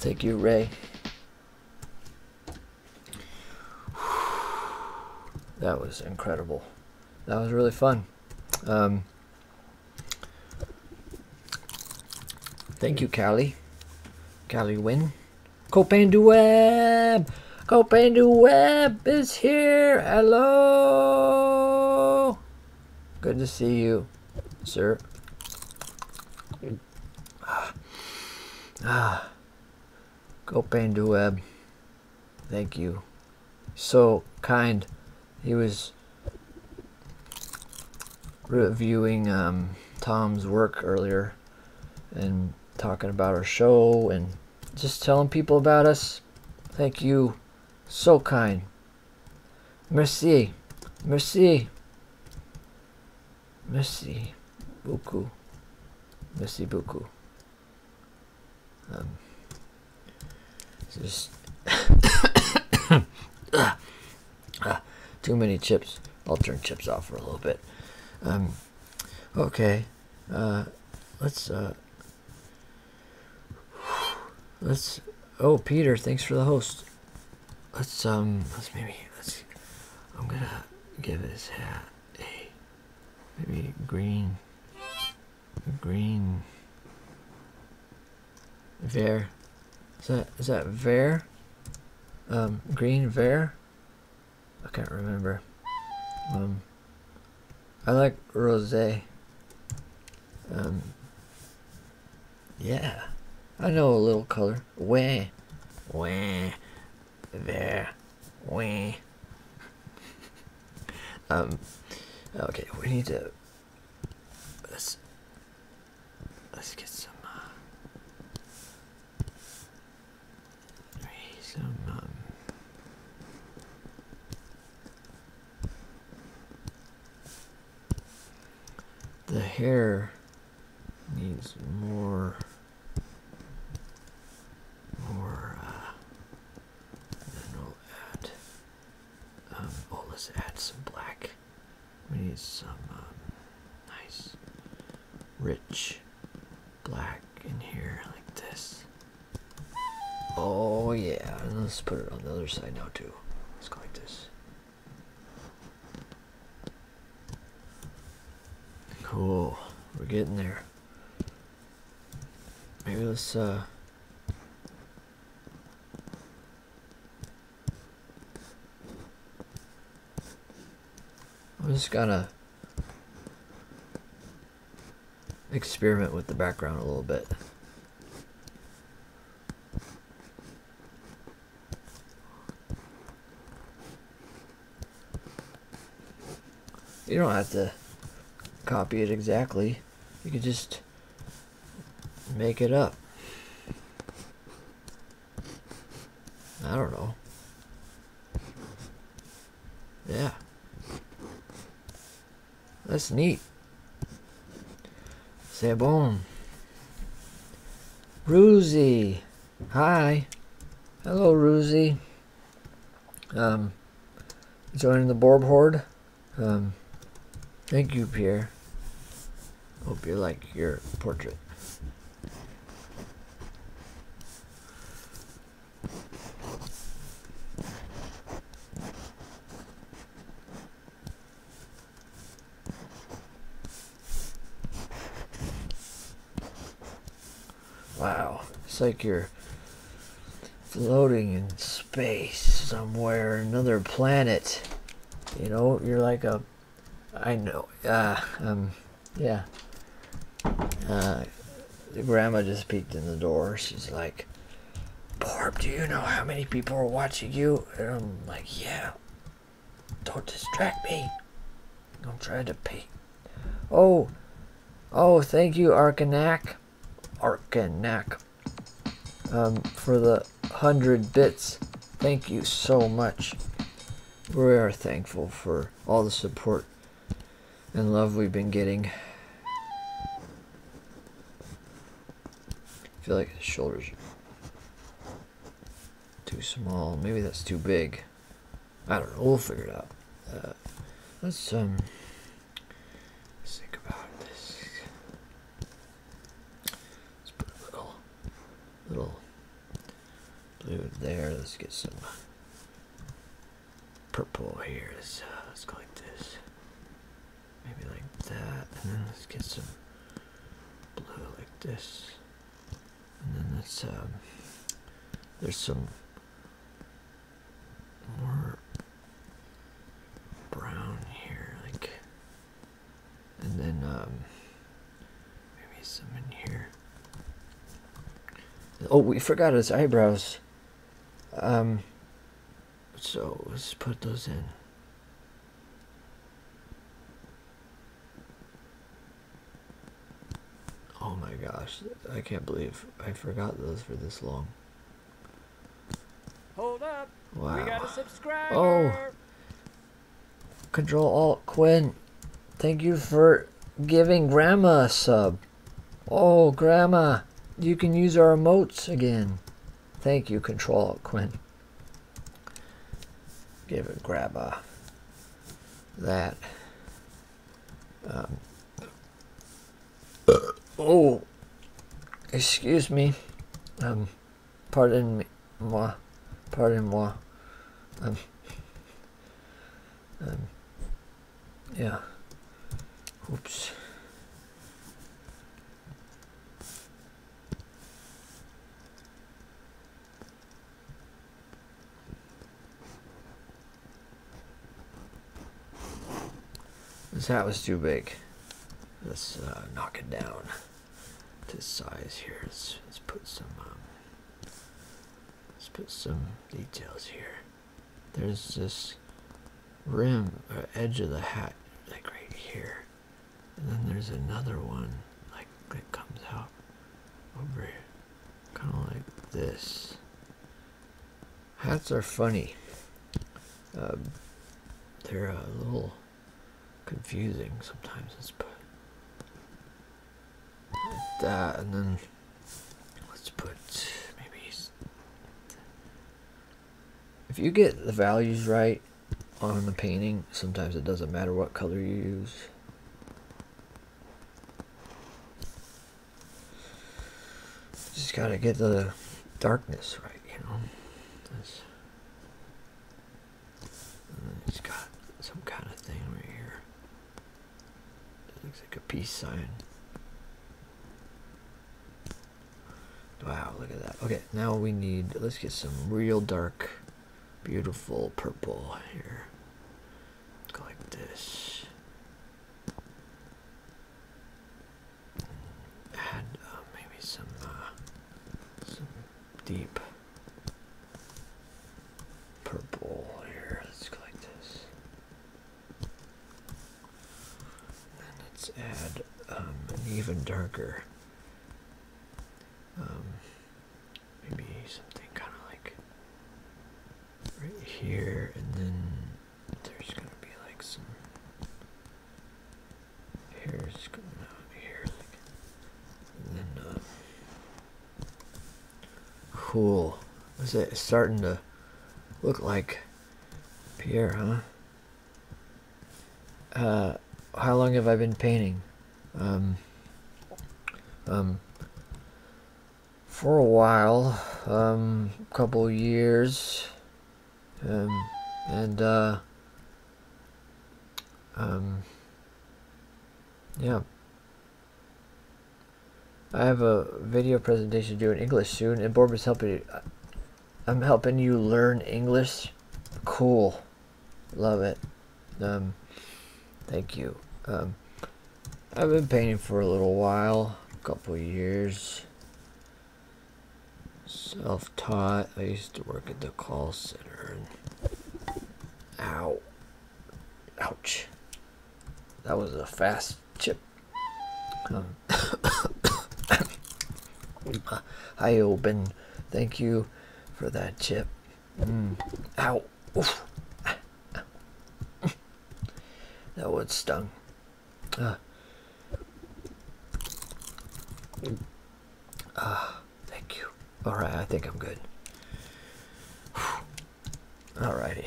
A: Thank you, Ray. That was incredible. That was really fun. Um, thank you, Callie. Callie Win. Copan Dueb! Copain du Web is here. Hello. Good to see you, sir. Ah. ah. Copain du Web. Thank you. So kind. He was reviewing um, Tom's work earlier and talking about our show and just telling people about us. Thank you. So kind. Merci. Merci. Merci beaucoup. Merci beaucoup. Um, just (coughs) ah, too many chips. I'll turn chips off for a little bit. Um, okay. Uh, let's uh, Let's. Oh, Peter, thanks for the host. Let's um. Let's maybe. Let's. I'm gonna give his hat a maybe green. Green. Ver. Is that is that Ver? Um, green Ver. I can't remember. Um. I like rosé. Um, yeah, I know a little color. Way, way, there, way. (laughs) um, okay, we need to. Let's let's get some. Uh, some um, the hair needs more more uh, then we'll add um, oh, let's add some black. We need some um, nice rich black in here like this. Oh yeah, let's put it on the other side now too. Let's go like this. Cool, we're getting there. Maybe let's uh I'm just gonna experiment with the background a little bit. You don't have to copy it exactly. You can just make it up. I don't know. Yeah. That's neat. Say bon. Ruzy. Hi. Hello, Ruzy. Um, joining the Borb Horde. Um, thank you, Pierre. Hope you like your portrait. Wow, it's like you're floating in space somewhere, another planet. You know, you're like a, I know, ah, um, yeah. Uh, the grandma just peeked in the door. She's like, Barb, do you know how many people are watching you? And I'm like, yeah. Don't distract me. I'm trying to pay. Oh, oh, thank you, Arkanak. Arkanak. Um, for the hundred bits. Thank you so much. We are thankful for all the support and love we've been getting. I feel like his shoulders too small. Maybe that's too big. I don't know. We'll figure it out. Uh, let's um. Let's think about this. Let's put a little, little blue there. Let's get some purple here is uh, let's go like this maybe like that and then let's get some blue like this and then let's um there's some more brown here like and then um maybe some in here oh we forgot his eyebrows um so let's put those in. Oh my gosh, I can't believe I forgot those for this long.
B: Hold up. We got to subscribe. Oh.
A: Control Alt Quinn. Thank you for giving Grandma a sub. Oh, Grandma, you can use our remotes again. Thank you, Control Quinn. Give it Grandma that. Um, oh, excuse me. Um, pardon me, moi. Pardon moi. Um, um, yeah. Oops. That was too big. Let's uh, knock it down to size here. Let's, put some um, let's put some details here there's this rim or uh, edge of the hat like right here and then there's another one like that comes out over here kind of like this hats are funny um, they're uh, a little confusing sometimes it's put that and then let's put maybe if you get the values right on the painting, sometimes it doesn't matter what color you use. Just gotta get the darkness right, you know. Mm, it's got some kind of thing right here. It looks like a peace sign. Wow, look at that. Okay, now we need, let's get some real dark, beautiful purple here. Go like this. And uh, maybe some, uh, some deep purple here. Let's go like this. And let's add um, an even darker, um, maybe something kind of like right here, and then there's gonna be like some. Here's going on here, like, and then uh, cool. Is it starting to look like Pierre, huh? Uh, how long have I been painting? Um, um, for a while, um, couple years, um, and, uh, um, yeah. I have a video presentation to do in English soon, and Bob is helping. I'm helping you learn English. Cool. Love it. Um, thank you. Um, I've been painting for a little while, a couple years. Self-taught. I used to work at the call center. And... Ouch. That was a fast chip. Uh, (coughs) hi, open. Thank you for that chip. Mm. Ow. That one stung. Uh. Ah, thank you. Alright, I think I'm good. Alrighty.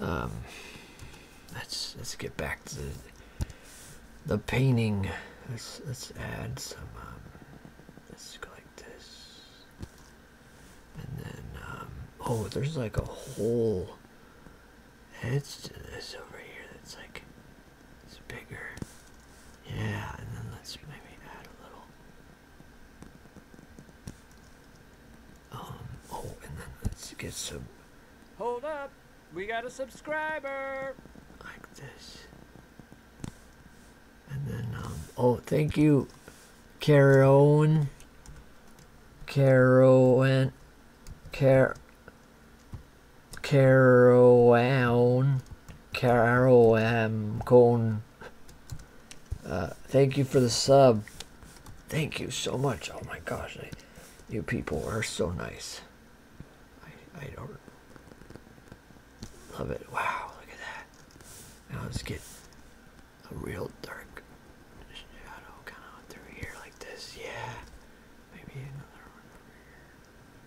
A: Um, let's let's get back to the, painting. Let's let's add some. Um, let's go like this, and then um, oh, there's like a whole edge to this over here. That's like it's bigger. Yeah, and then let's maybe add a little. Um, oh, and then let's get some.
B: Hold up! We got a subscriber. Like this.
A: And then, um, oh, thank you, Caroline. Caroline. Car. Caroline. Caroline. Cone. Uh, thank you for the sub. Thank you so much. Oh my gosh. You people are so nice. I, I don't love it. Wow, look at that. Now let's get a real dark shadow kind through here like this. Yeah, maybe another one over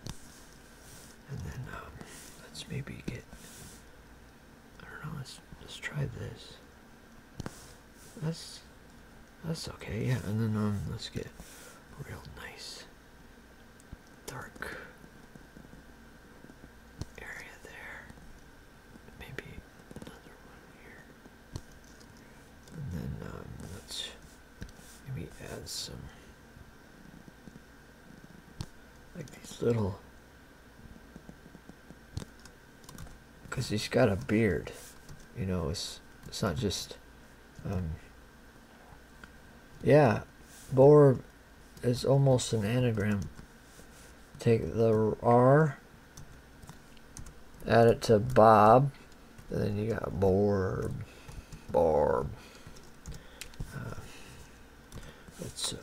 A: here. And then um, let's maybe get. I don't know. Let's let's try this. That's that's okay, yeah. And then um, let's get real nice dark area there. Maybe another one here. And then um, let's maybe add some like these little because he's got a beard. You know, it's it's not just. Um, yeah, Borb is almost an anagram. Take the R, add it to Bob, and then you got Borb, Barb. Uh, let's uh,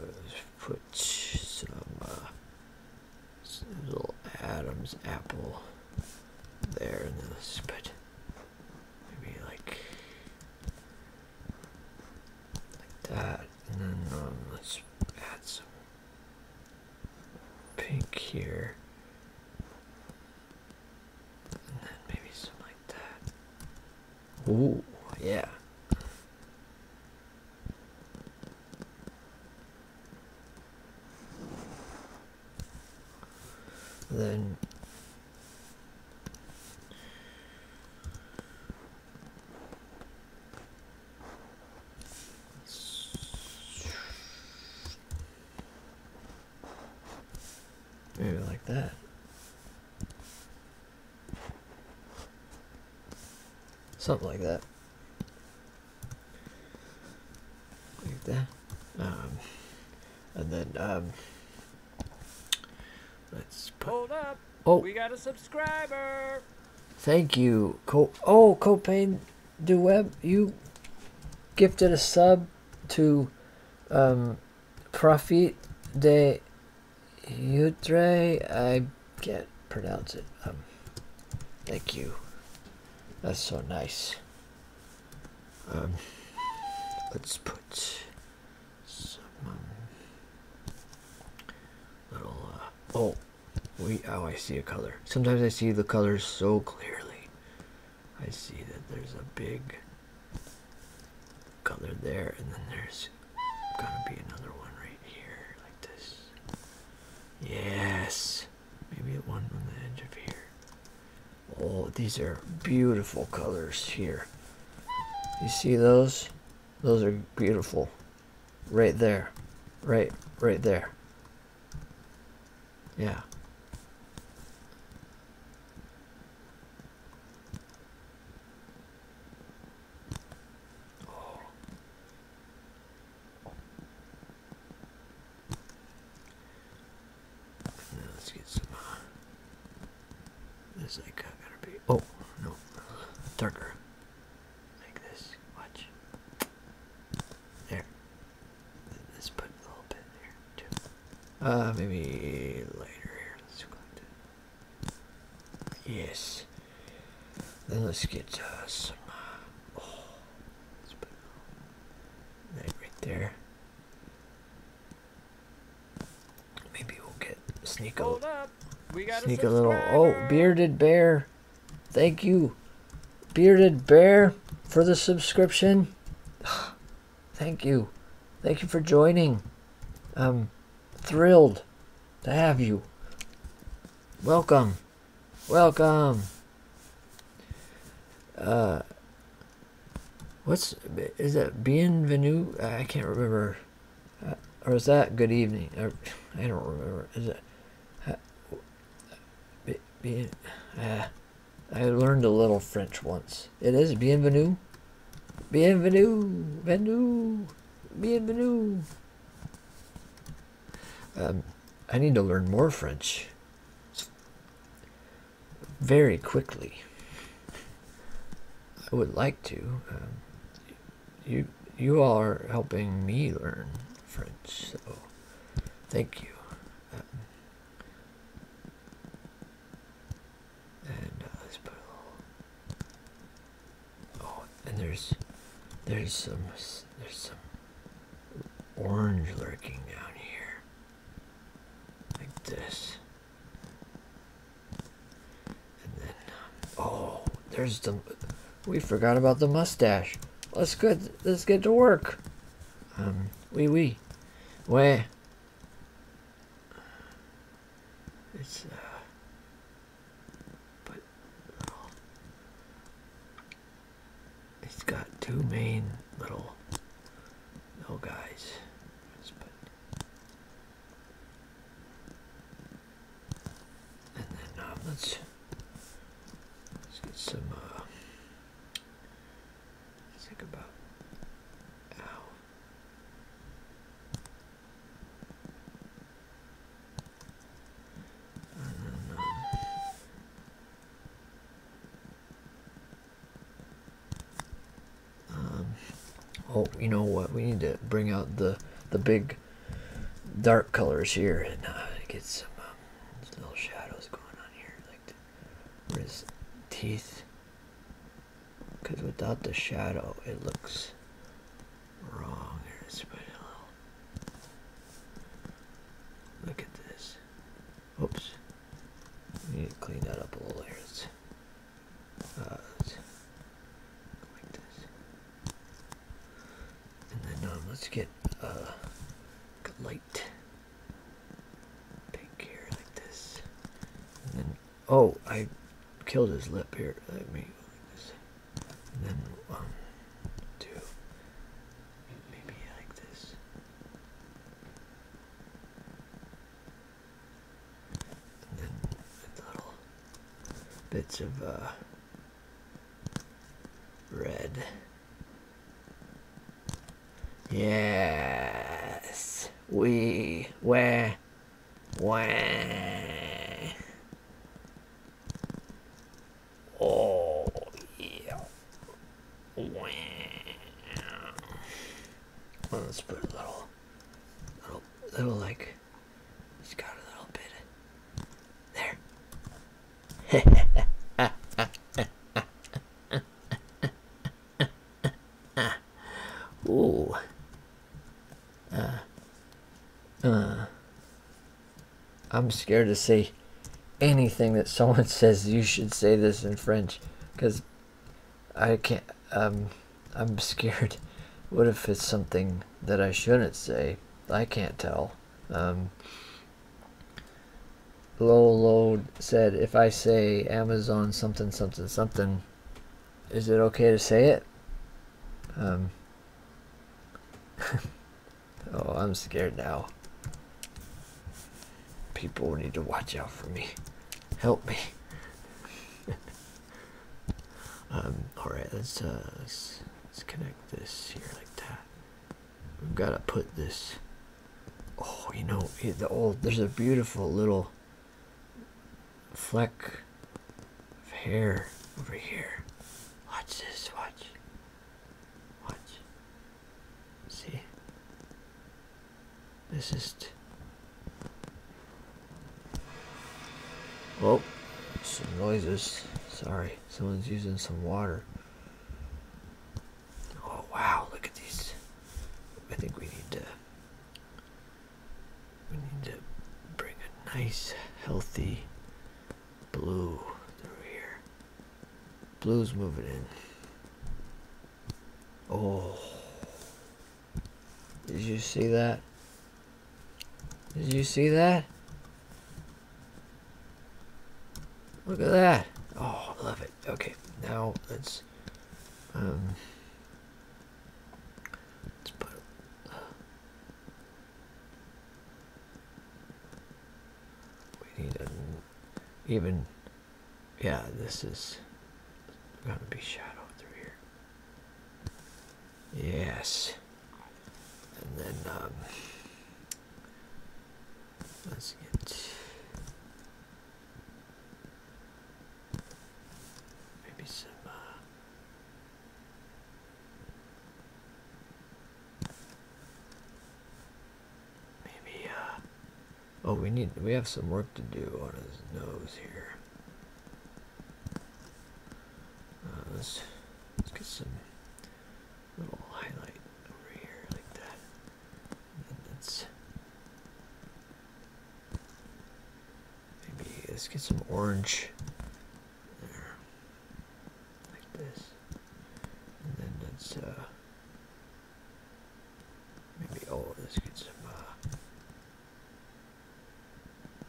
A: put some uh, little Adam's apple there, and then let's put maybe like like that, and then um, let's add some pink here. And then maybe something like that. Ooh, yeah then maybe like that something like that like um, and then um, let's put, hold up oh we
B: got a subscriber
A: thank you Co oh Copain Duweb you gifted a sub to um, Profit de Utre I can't pronounce it thank you that's so nice um, let's put some little. Uh, oh, wait! Oh, I see a color. Sometimes I see the colors so clearly. I see that there's a big color there, and then there's gonna be another one right here, like this. Yes. Maybe one on the edge of here. Oh, these are beautiful colors here. You see those? Those are beautiful. Right there. Right, right there. Yeah let's get some. Uh, this like gotta be. Oh no, darker. Like this. Watch. There. Let's put a little bit there too. Uh, maybe lighter here. Let's go Yes. Then let's get uh, some. Uh, oh, let's put Right, there. Maybe we'll get sneak a, sneak a little. Oh, bearded bear! Thank you, bearded bear, for the subscription. (sighs) Thank you, thank you for joining. I'm thrilled to have you. Welcome. Welcome. Uh, what's is that? Bienvenue? I can't remember. Uh, or is that good evening? I don't remember. Is it? Uh, bien, uh, I learned a little French once. It is bienvenue. Bienvenue. Bienvenue. Bienvenue. Um, I need to learn more French very quickly. I would like to. Um, you you are helping me learn French, so thank you. Um, uh, oh, and there's there's some there's some orange lurking down here. Like this. And then, oh, there's the, we forgot about the mustache. Let's get, let's get to work. Um, we we Where? It's, uh, but, it's got two main little little guys. And then uh, let's let's get some. Uh, let's think about. Ow.
B: And then, um,
A: um, oh, you know what? We need to bring out the the big dark colors here and uh, get um, some little shadows going on here. Like his teeth, because without the shadow, it looks wrong. Look at this. Oops. We need to clean that up a little bit. Uh, like this. And then um, let's get a uh, light pink here like this. And then, oh, I killed his lip here. Let me then um, do maybe like this little bits of uh, red. Yes, we where where. Oh, yeah. Wow. let's put a little, little, little like, just got a little bit there. (laughs) Ooh. Uh, uh, I'm scared to say anything that someone (laughs) says you should say this in French because I can't um, I'm scared (laughs) what if it's something that I shouldn't say I can't tell um, Low load said if I say Amazon something something something is it okay to say it um, (laughs) Oh, I'm scared now. People need to watch out for me. Help me. (laughs) um, alright, let's, uh, let's, let's connect this here like that. We've got to put this. Oh, you know, eh, the old, there's a beautiful little fleck of hair over here. Watch this, watch. Watch. See? This is. Oh, some noises. Sorry, someone's using some water. Oh wow, look at these. I think we need to. We need to bring a nice, healthy blue through here. Blue's moving in. Oh. Did you see that? Did you see that? Look at that. Oh, I love it. Okay, now let's... Um, let's put... we need a even yeah this is gonna be shadow through here yes and then um, let's get maybe some uh, Maybe, uh. Oh, we need. We have some work to do on his nose here. Uh, let's, let's get some little highlight over here, like that. And that's. Maybe let's get some orange there, like this, and then let's uh, Maybe, oh, let's get some, uh,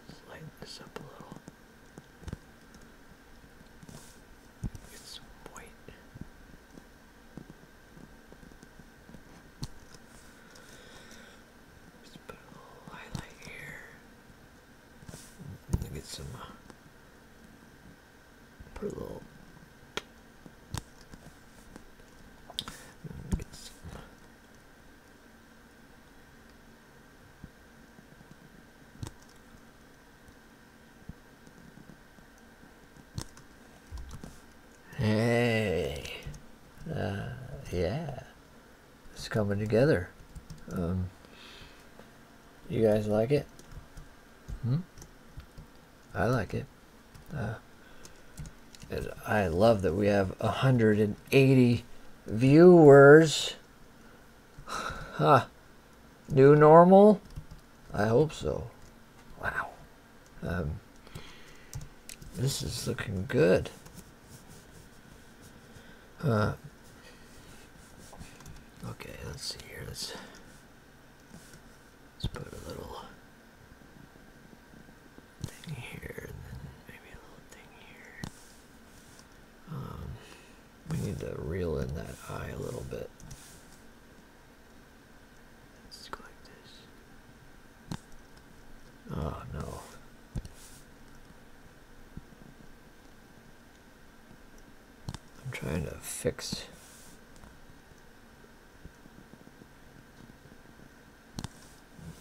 A: let's lighten this up a little. Get some white. let put a little highlight here. And get some uh, per little. Hey, uh, yeah, it's coming together. Um, you guys like it? Hmm? I like it. Uh, I love that we have 180 viewers. (sighs) Huh. New normal? I hope so. Wow. Um, this is looking good. Uh, okay, let's see here. Let's put a little thing here, and then maybe a little thing here. Um, we need to reel in that eye a little bit. Let's go like this. Oh no. I'm trying to fix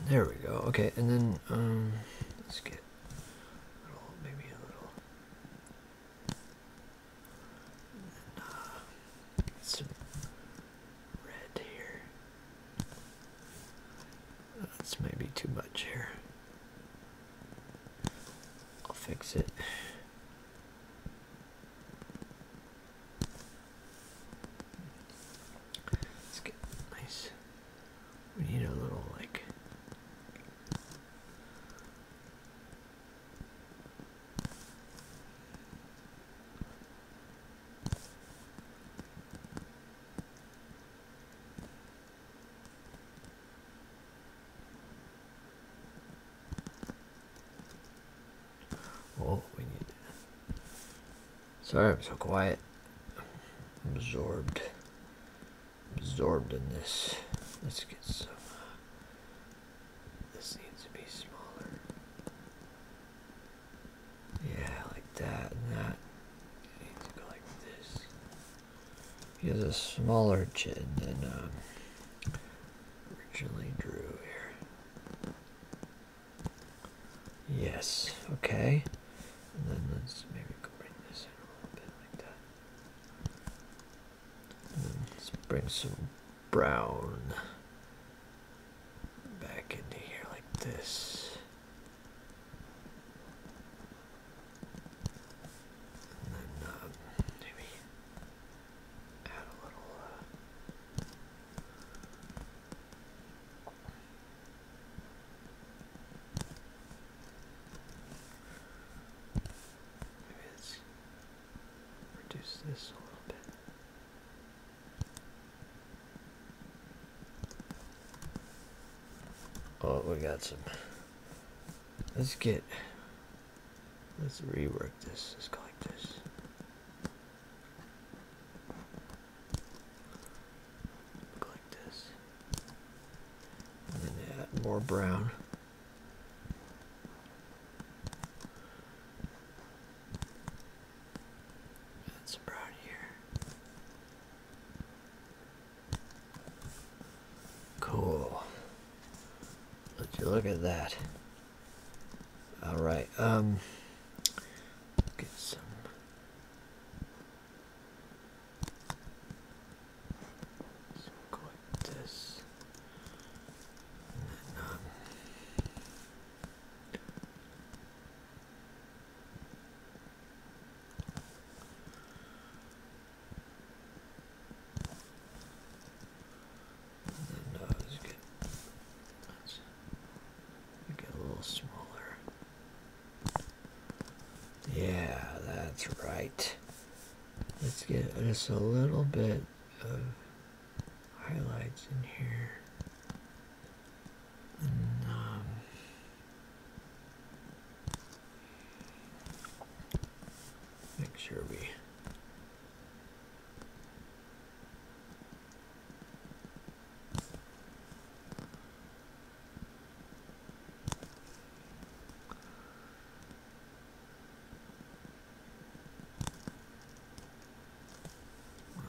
A: there we go okay and then um, let's get maybe a little uh,
B: some red here
A: that's maybe too much here I'll fix it Let's get nice. We need a little like Oh, we need that. Sorry, I'm so quiet. Absorbed. Absorbed in this. Let's get some. Uh, this needs to be smaller. Yeah, like that and that. needs to go like this. He has a smaller chin than um, originally drew here. Yes, okay. And then let's maybe bring this in a little bit like that. And then let's bring some brown back into here like this. And then um, maybe maybe let's reduce this a little bit. Oh, we got some. Let's get Let's rework this. Let's go like this. like this. And then add more brown. That's brown here. Cool. Would you look at that? All right. Um. Get some. So go like this. Um, the get, a little smaller. Yeah, that's right. Let's get just a little bit of highlights in here. make sure we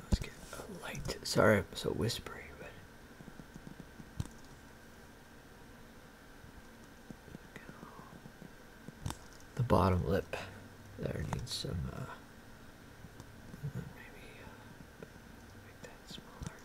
A: Let's get a light. Sorry, I'm so whispery, but the bottom lip there needs some, uh, maybe uh, make that smaller.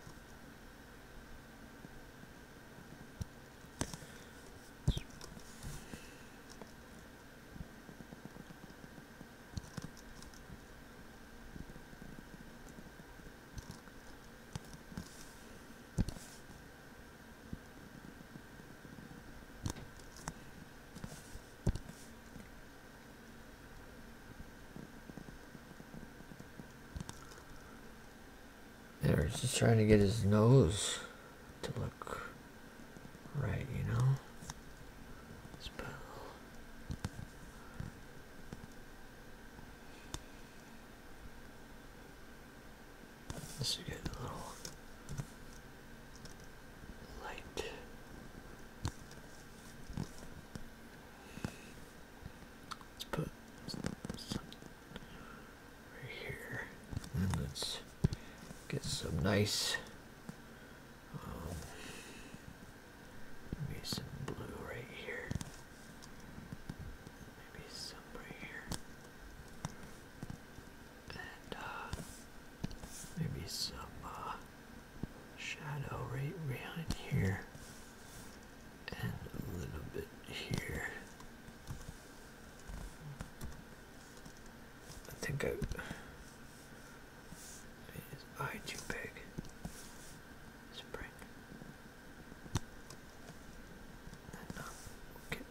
A: They're just trying to get his nose to look right, you know? This will get a little light. Let's put right here. And let's get some nice um, maybe some blue right here. Maybe some right here and uh, maybe some uh, shadow right behind here and a little bit here.
B: I think I is eye too big. Spring. And uh, we'll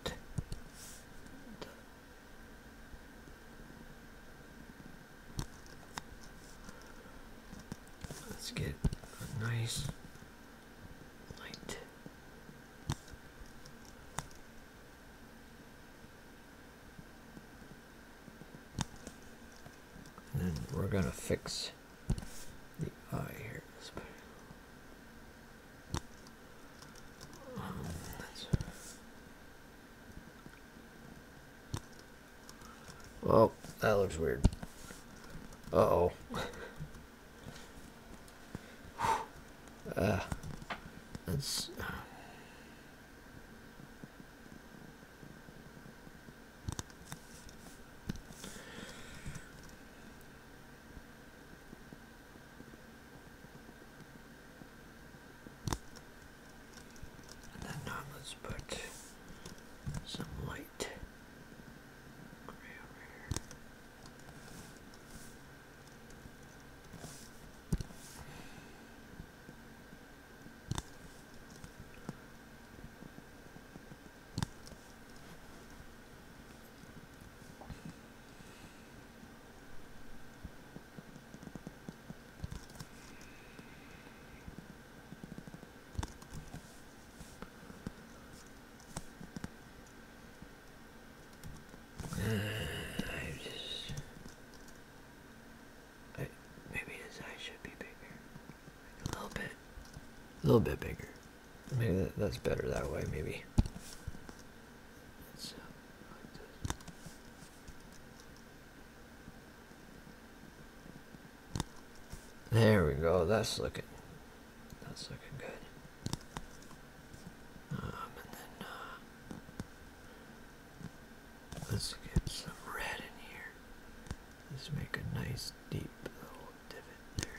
A: Let's get a nice light. And then we're gonna fix the eye here. Well, that looks weird. Uh-oh. uh, that's... And then now let's put some light gray over here. Uh, maybe his should be bigger, A little bit bigger. Maybe that's better that way, maybe. There we go. That's looking. That's looking good. Um, uh, let's get some red in here. let make a nice deep little divot there.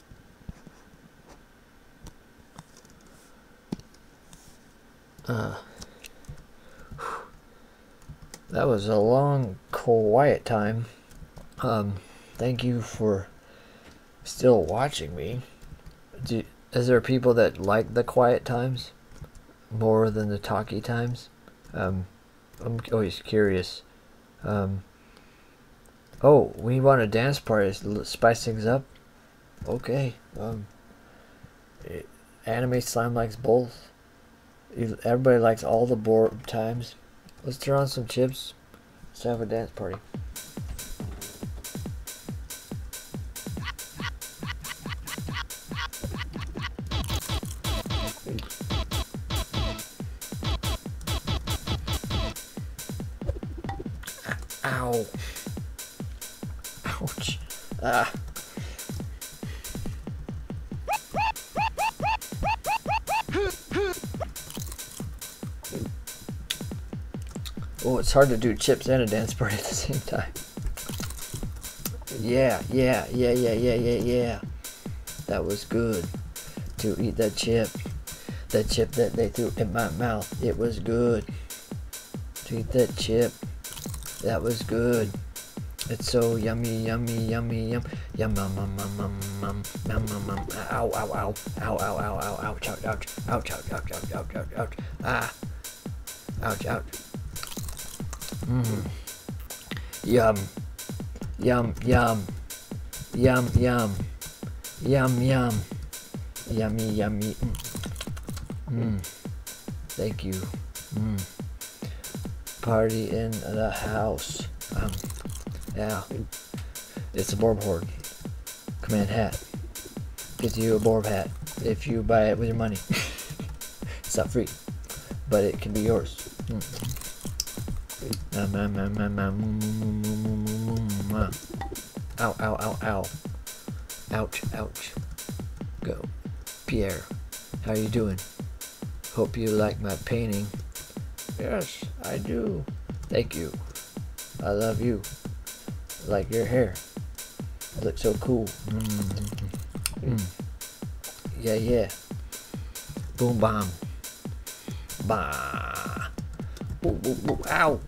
A: Uh, that was a long, quiet time. Um, thank you for still watching me. Do, is there people that like the quiet times more than the talky times? Um, I'm always curious. Um, oh, we want a dance party. Spice things up okay um anime slime likes both everybody likes all the board times let's turn on some chips let's have a dance party Ow. Ouch. Ah. Oh, it's hard to do chips and a dance party at the same time. Yeah, yeah, yeah, yeah, yeah, yeah, That was good to eat that chip. That chip that they threw in my mouth. It was good. Take that chip. That was good. It's so yummy, yummy, yummy, yum, yum, yum, yum, yum, yum, yum, yum, yum, yum. Ow, ow, ow, ow, ow, ow, ow, ouch, ouch, ouch, ouch, ouch, ouch, ouch, ouch, ouch, ouch, ah, ouch, ouch. Mmm. Yum, yum, yum, yum, yum. Yum, yum. Yummy, yummy. Mm. mm. Thank you. Mm. Party in the house. Um, yeah. It's a Borb Horde. Command hat. Gives you a Borb hat if you buy it with your money. (laughs) it's not free, but it can be yours. Mm. Um, um, um, Ow, ow, ow, ow. Ouch, ouch. Go. Pierre, how are you doing? Hope you like my painting. Yes, I do. Thank you. I love you. like your hair. It looks so cool. Mm-hmm. Mm. Yeah, yeah. Boom, bomb. Bah. Ooh, ooh, ooh. Ow.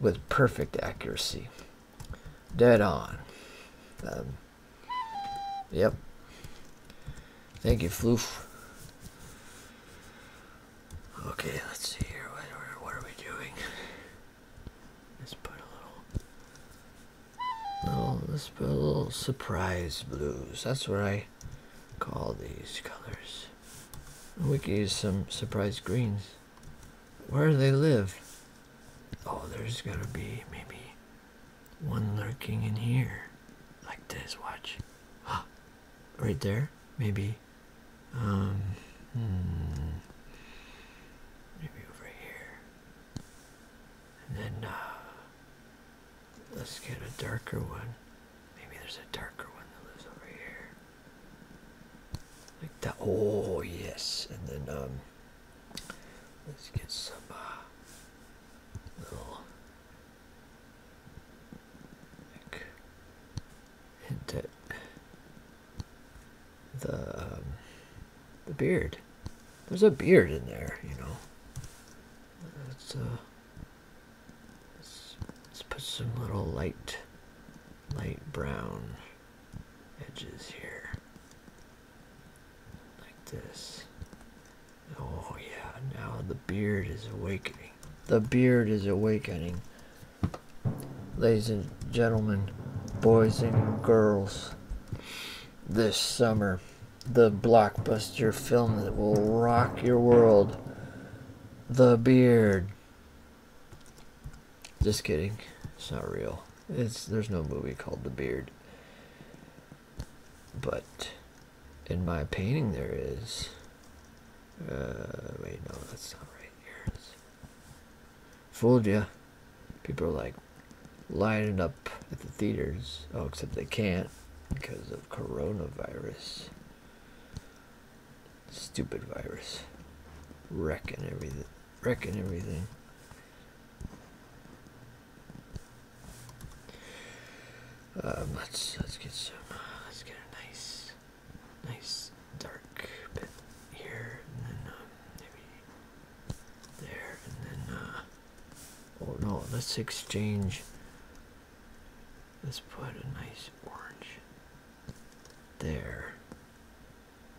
A: with perfect accuracy. Dead on. Um, yep. Thank you, Floof. Okay, let's see here. What are, we doing? Let's put a little. No, let's put a little surprise blues. That's what I call these colors. We could use some surprise greens. Where do they live? Oh, there's going to be maybe one lurking in here. Like this, watch. Ah, right there, maybe. Um, hmm. Maybe over here. And then, uh, let's get a darker one. Maybe there's a darker one that lives over here like that. Oh yes, and then um, let's get some uh, little like, hint at the um, the beard. There's a beard in there, you know. Let's uh, let's, let's put some little light light brown edges here like this oh yeah now the beard is awakening the beard is awakening ladies and gentlemen boys and girls this summer the blockbuster film that will rock your world the beard just kidding. It's not real. It's there's no movie called The Beard. But in my painting there is. Uh, wait, no, that's not right here. It's, fooled ya. People are like lining up at the theaters. Oh, except they can't because of coronavirus. Stupid virus. Wrecking everything. Wrecking everything. Um, let's let's get some. let's get a nice, nice dark bit here, and then um, maybe there, and then. Uh, oh no! Let's exchange. Let's put a nice orange there.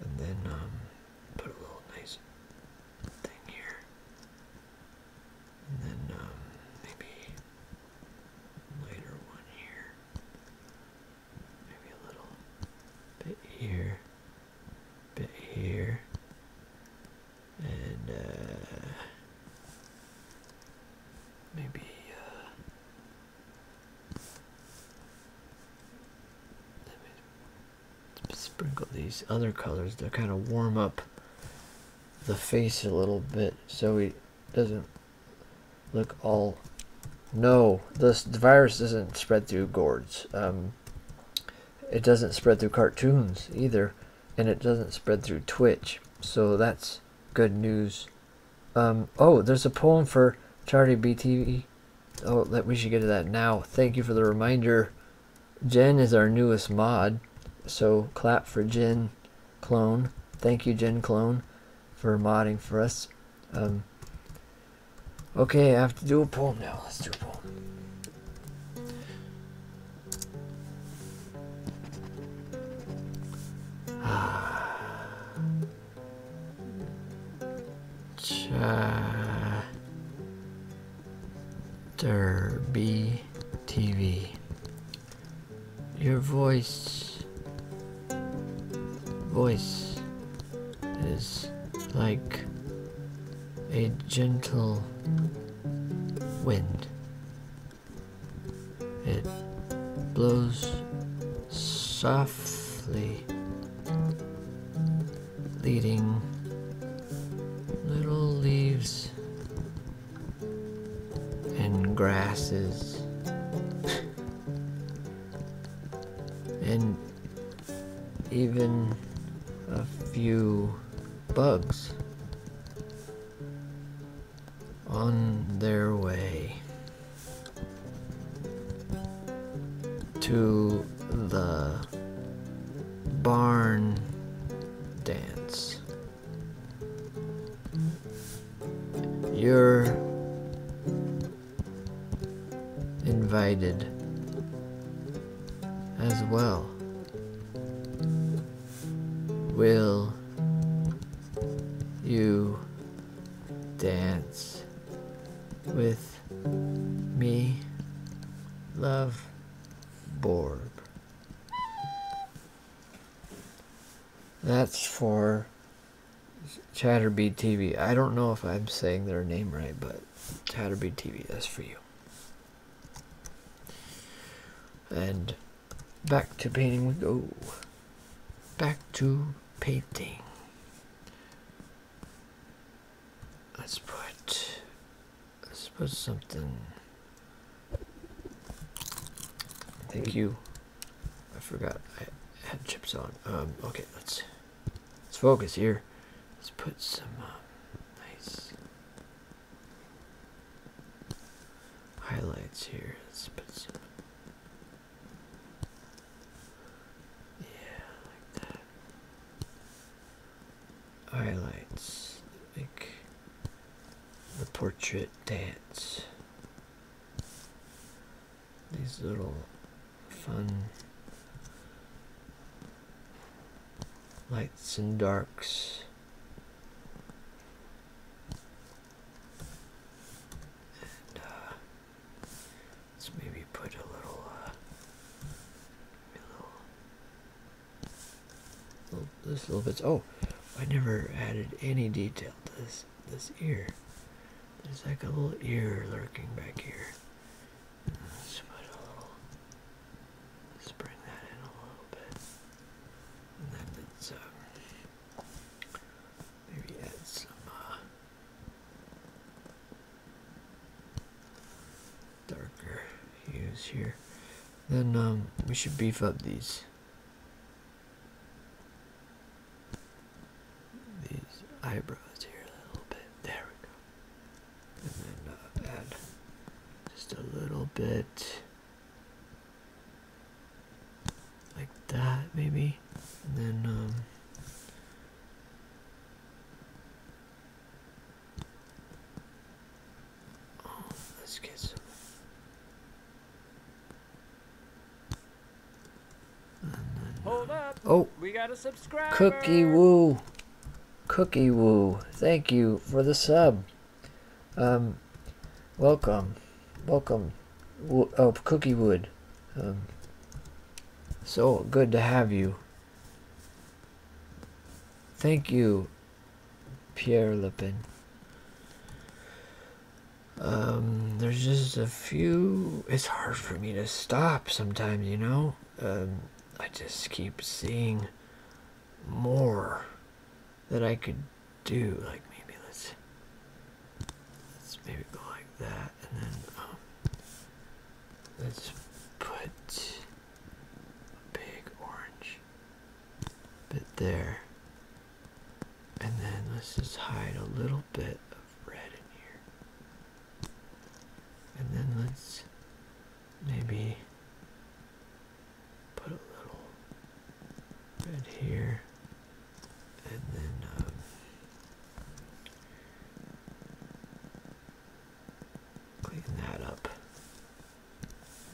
A: And then um, put a little nice thing here. And then um, maybe lighter one here. Maybe a little bit here, bit here. And uh, maybe uh, sprinkle these other colors to kind of warm up the face a little bit so it doesn't look all no this virus doesn't spread through gourds um, it doesn't spread through cartoons either and it doesn't spread through twitch so that's good news um, oh, there's a poem for Charlie BTV. Oh, that we should get to that now. Thank you for the reminder. Jen is our newest mod, so clap for Jen Clone. Thank you, Jen Clone, for modding for us. Um, okay, I have to do a poem now. Let's do a poem. Ah. Derby TV. Your voice, voice is like a gentle wind it blows softly, leading little leaves and grasses. and even a few bugs on their way to the barn dance. You're invited as well. Will you dance with me, love Borb. That's for Chatterbee TV. I don't know if I'm saying their name right, but Chatterbee TV, that's for you. And back to painting we go back to painting let's put let's put something thank you I forgot I had chips on um okay let's let's focus here let's put some um, nice highlights here let's put some yeah, like that. Highlights make the portrait dance. These little fun lights and darks. And, uh, Let's maybe put a little, uh, a little, little, this little bits. Oh, I never added any detail to this this ear. There's like a little ear lurking back here. Let's put a little, let's bring that in a little bit. And then let uh, maybe add some. Uh, darker hues here then um, we should beef up these these eyebrows here a little bit there we go and then uh, add just a little bit like that maybe and then um oh, let's get some Hold up. Oh. we got a subscriber. Cookie Woo. Cookie Woo. Thank you for the sub. Um, welcome welcome oh cookie wood um, so good to have you thank you pierre lupin um, there's just a few it's hard for me to stop sometimes you know um, i just keep seeing more that i could do like maybe let's Let's maybe go like that, and then um, let's put a big orange bit there, and then let's just hide a little bit of red in here, and then let's maybe put a little red here and then um, clean that up.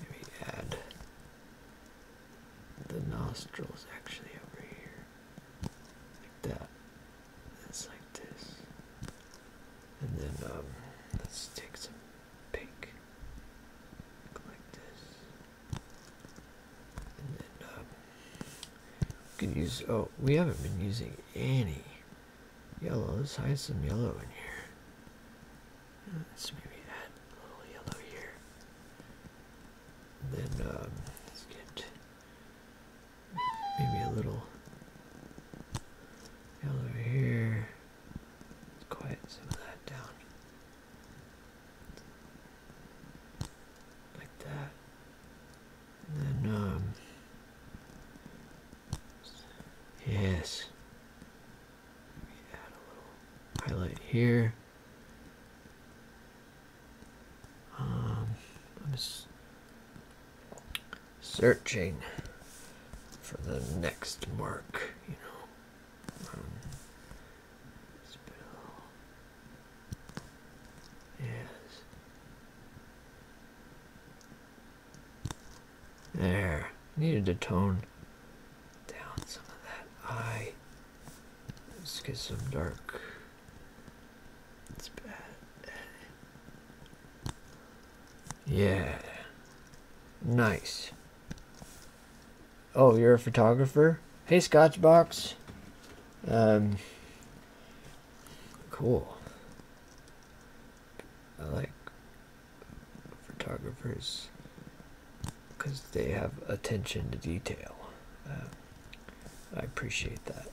A: Maybe add the nostrils actually over here, like that. That's like this, and then um, let's take some pink, like this. And then, could use, oh, we haven't been using any yellow. Let's hide some yellow in here. Uh, let's maybe add a little yellow here. then, um, let's get maybe a little yellow here. Let's quiet some of that down like that. And then, um, yes, add a little highlight here. Um, I'm just searching for the next mark, you know. Um, Spittle. Yes. There. Needed to tone down some of that eye. Let's get some dark. It's bad. Yeah. Nice. Oh, you're a photographer? Hey, Scotchbox. Um, cool. I like photographers because they have attention to detail. Um, I appreciate that.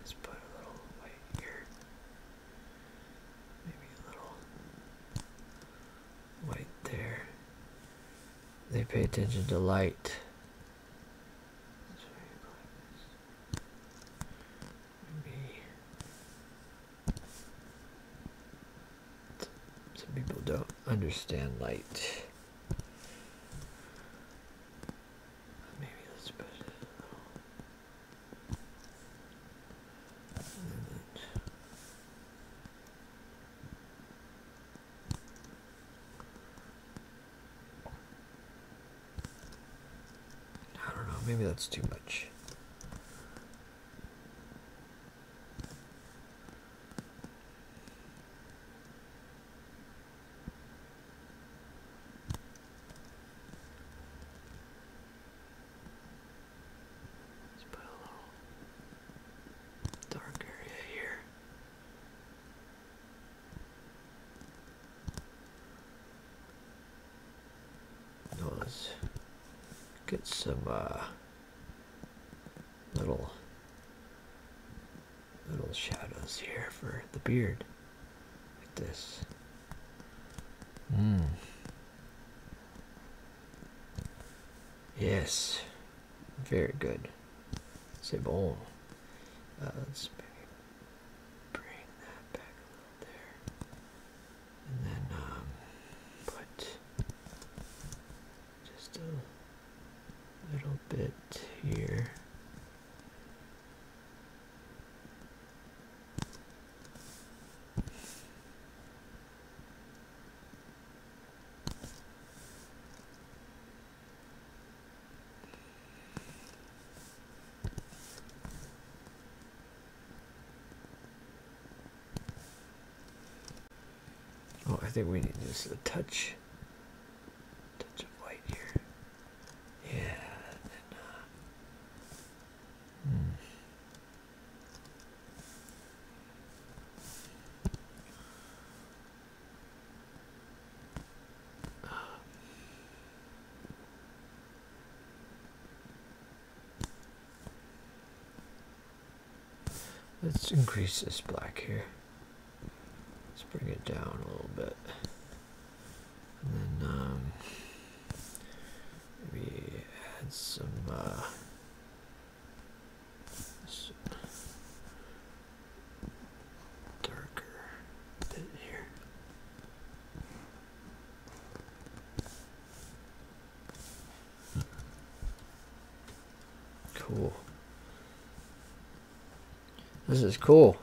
A: Let's put a little white here. Maybe a little white there. They pay attention to light. Maybe some people don't understand light. Maybe let's put it I don't know, maybe that's too much. Let's put a little dark area here let's get some uh, little little shadows here for the beard like this. Mm. Yes, very good. C'est bon. Uh, let's bring that back there. And then um, put just a little bit here. Oh, I think we need just a touch, touch of white here. Yeah. And, uh, hmm let's increase this black here. Let's bring it down a little bit. And then um, maybe add some uh, darker than here. Cool. This is cool.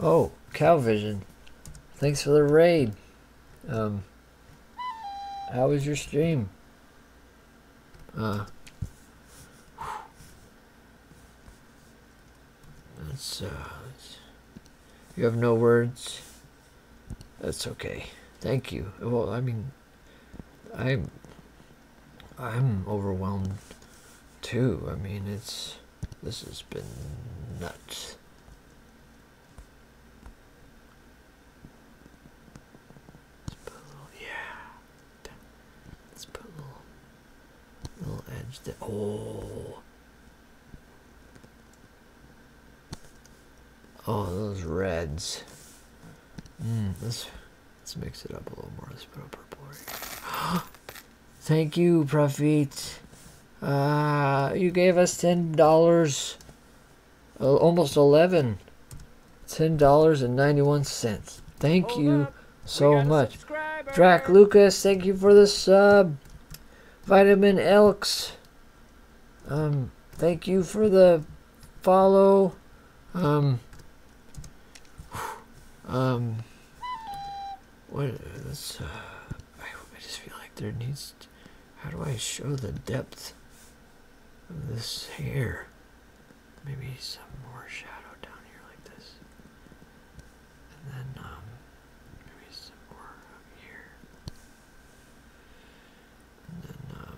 A: Oh, Calvision. Thanks for the raid. Um, how was your stream? Uh, uh, that's, you have no words. That's okay. Thank you. Well, I mean, I'm, I'm overwhelmed too. I mean, it's, this has been nuts let put a little, yeah. Let's put a little, little edge there. Oh. Oh, those reds. Mm, let's let's mix it up a little more. Let's put a purple. (gasps) Thank you, Profit. Uh, you gave us ten dollars, uh, almost eleven. $10.91. Thank you so much. Drac Lucas, thank you for the sub. Vitamin Elks, um, thank you for the follow. Um, um, what, that's, uh, I, just feel like there needs, to, how do I show the depth of this hair? Maybe some more shadow down here like this. And then um, maybe some more up here. And then um,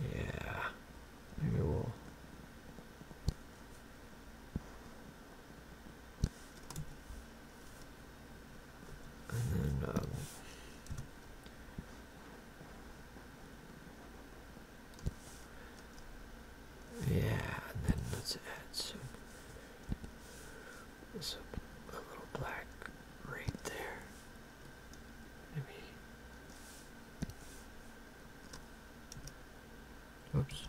A: maybe, yeah, maybe we'll.
B: And then um,
A: yeah, and then let's add some, some little black right there. Maybe. Oops.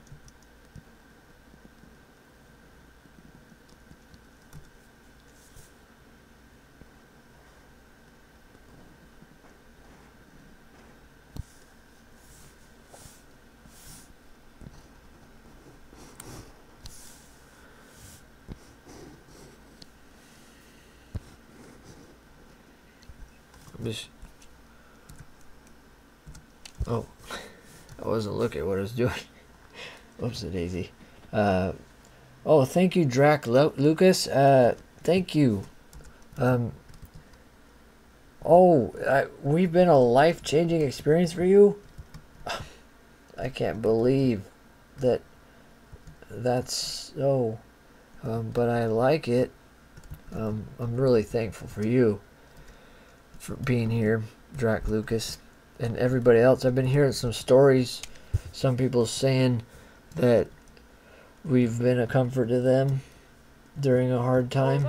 A: Just oh, I wasn't looking what I was doing. (laughs) Whoops, daisy. Uh, Oh, thank you, Drac Lucas. Uh, thank you. Um, oh, we've been a life-changing experience for you? (sighs) I can't believe that that's so. Um, but I like it. Um, I'm really thankful for you for being here, Drac Lucas, and everybody else. I've been hearing some stories. Some people saying that We've been a comfort to them during a hard time.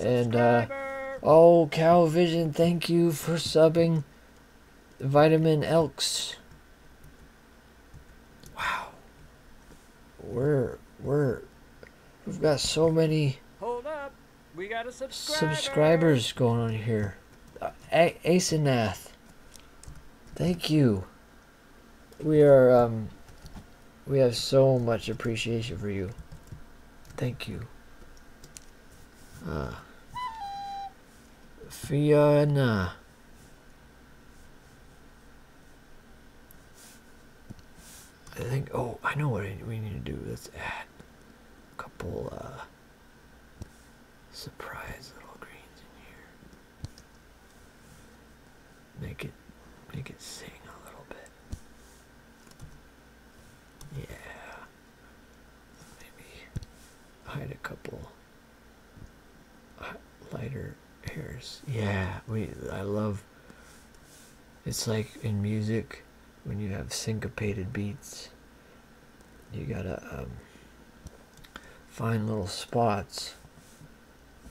A: and uh, oh, Cow Vision, thank you for subbing. Vitamin Elks. Wow. We're we're we've got so many Hold up. We got subscribers going on here. Uh, a Asenath. Thank you. We are, um, we have so much appreciation for you. Thank you. Uh, Fiona. I think, oh, I know what we need to do. Let's add a couple, uh, surprise little greens in here. Make it make it sing a little bit. Yeah. Maybe hide a couple lighter hairs. Yeah, we I love it's like in music when you have syncopated beats you gotta um find little spots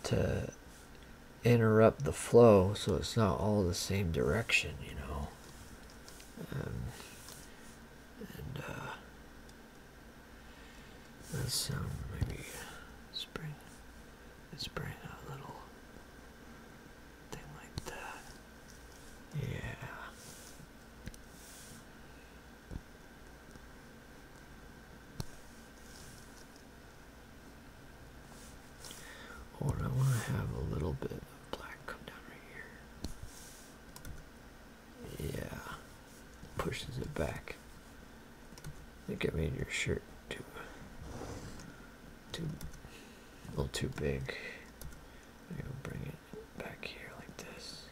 A: to interrupt the flow so it's not all the same direction you know um, and uh, that maybe let let's bring a little thing like that yeah or I want to have a little bit of black come down right here. Yeah, pushes it back. I think I made your shirt too, too, a little too big. bring it back here like this.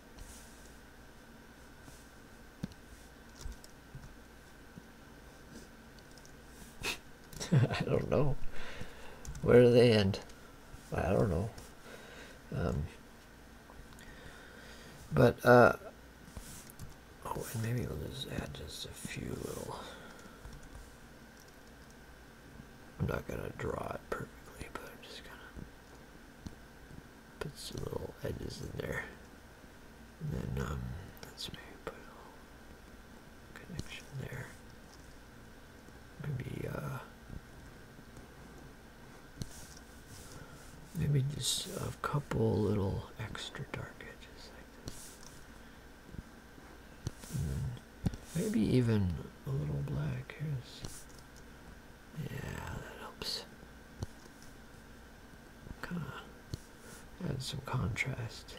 A: (laughs) I don't know. Where do they end? I don't know. Um, but, uh, oh, and maybe we'll just add just a few little. I'm not going to draw it perfectly, but I'm just going to put some little edges in there. And then um, let's maybe put a little connection there. Maybe uh, maybe just a couple little extra dark edges like this. Hmm. maybe even a little black. Here's yeah, that helps. Kind of add some contrast.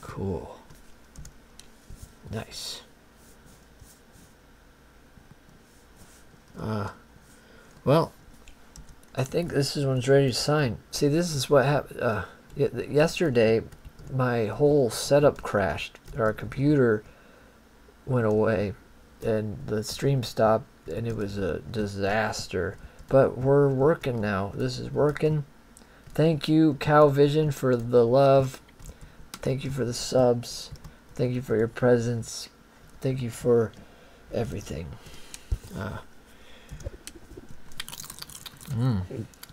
A: Cool. Nice. Uh, well, I think this is one's ready to sign. See, this is what happened. Uh, yesterday, my whole setup crashed. Our computer went away and the stream stopped and it was a disaster. But we're working now. This is working. Thank you, Cow Vision, for the love. Thank you for the subs. Thank you for your presence. Thank you for everything. Uh, mm,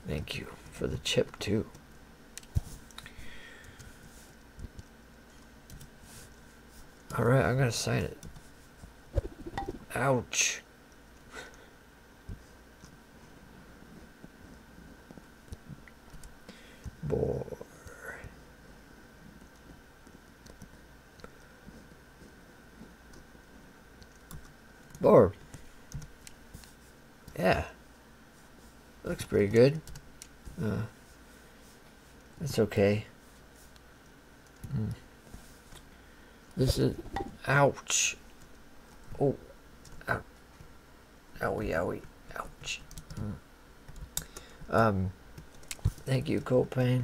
A: thank you for the chip, too. Alright, I'm gonna sign it. Ouch. Boy. Barb. Yeah. Looks pretty good. Uh, that's okay. Hmm. This is... Ouch. Oh. Ow. Owie, owie. Ouch. Hmm. Um, thank you, Copain.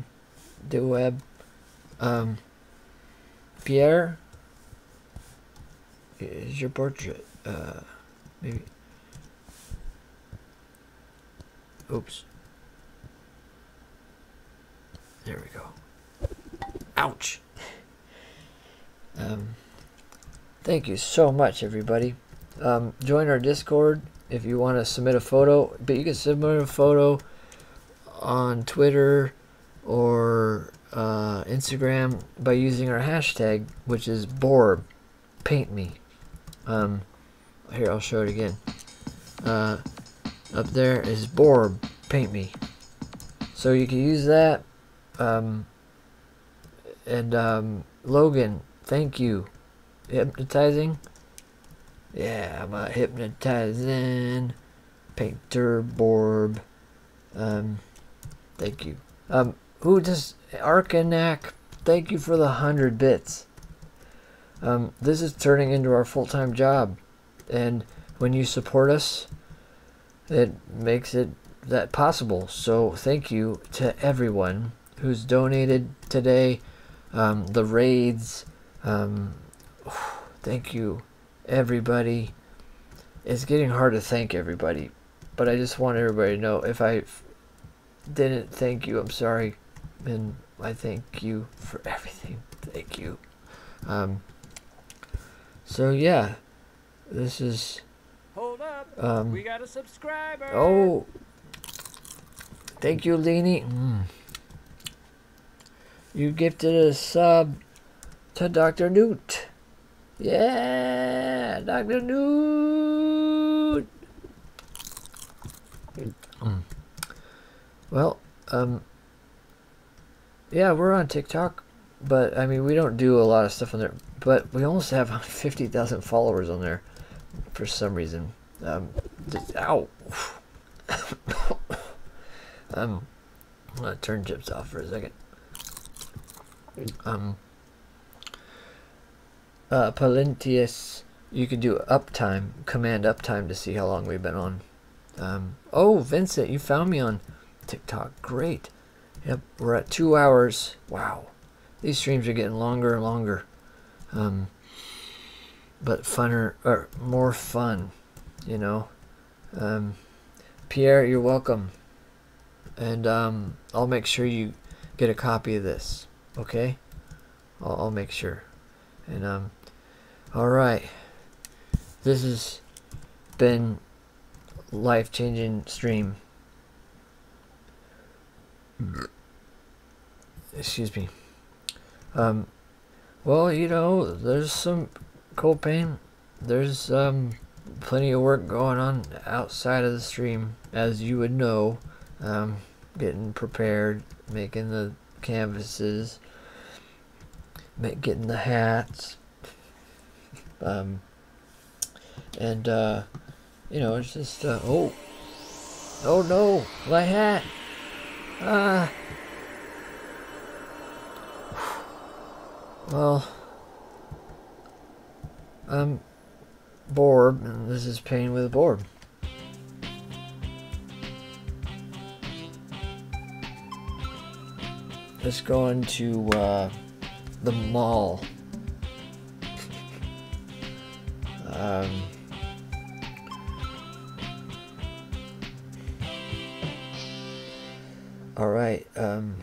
A: Deweb. Um, Pierre is your portrait. Uh, maybe. Oops. There we go. Ouch. Um, thank you so much, everybody. Um, join our Discord if you want to submit a photo. But you can submit a photo on Twitter or uh, Instagram by using our hashtag, which is Borb paint me. Um, here, I'll show it again. Uh, up there is Borb, paint me. So you can use that. Um, and um, Logan, thank you. Hypnotizing. Yeah, I'm a hypnotizing painter Borb. Um, thank you. Um, who just Arkanak? thank you for the hundred bits. Um, this is turning into our full-time job, and when you support us, it makes it that possible. So thank you to everyone who's donated today. Um, the raids. Um, (sighs) thank you, everybody. It's getting hard to thank everybody, but I just want everybody to know if I didn't thank you. I'm sorry, and I thank you for (laughs) everything. Thank you. Um, so yeah, this is. Hold up. Um, we got a subscriber. Oh, thank you, Leanie. Mm. You gifted a sub to Dr. Newt. Yeah, Dr. Dude. Mm. Well, um, yeah, we're on TikTok, but I mean, we don't do a lot of stuff on there, but we almost have (laughs) 50,000 followers on there for some reason. Um, ow. (coughs) um, I'm gonna turn chips off for a second. Um, uh, you can do uptime, command uptime to see how long we've been on. Um, oh, Vincent, you found me on TikTok. Great. Yep, we're at two hours. Wow. These streams are getting longer and longer. Um, but funner, or more fun, you know. Um, Pierre, you're welcome and um, I'll make sure you get a copy of this. Okay, I'll, make sure. And um, all right, this has been life changing stream. Excuse me. Um, well, you know, there's some cold pain. There's plenty of work going on outside of the stream as you would know, um, getting prepared, making the canvases, getting the hats, um, and uh, you know, it's just uh, oh, oh no, my hat, ah. Well, um, board, and this is painting with a board. Let's go into uh, the mall. Um, all right. Um,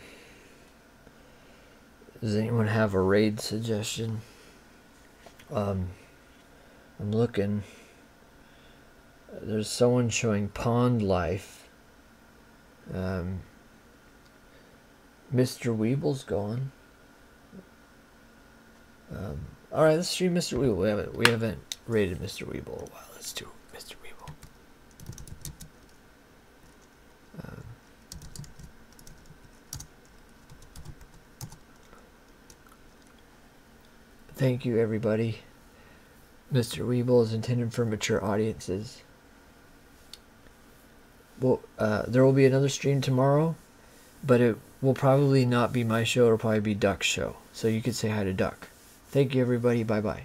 A: does anyone have a raid suggestion? Um, I'm looking. There's someone showing Pond Life. Mr. Um, Weeble's gone. Um, all right, let's stream Mr. Weeble. We haven't raided Mr. Weeble a while. Let's do Mr. Weeble. Uh, thank you, everybody. Mr. Weeble is intended for mature audiences. Well, uh, there will be another stream tomorrow, but it will probably not be my show. It'll probably be Duck's show. So you could say hi to Duck. Thank you, everybody. Bye bye.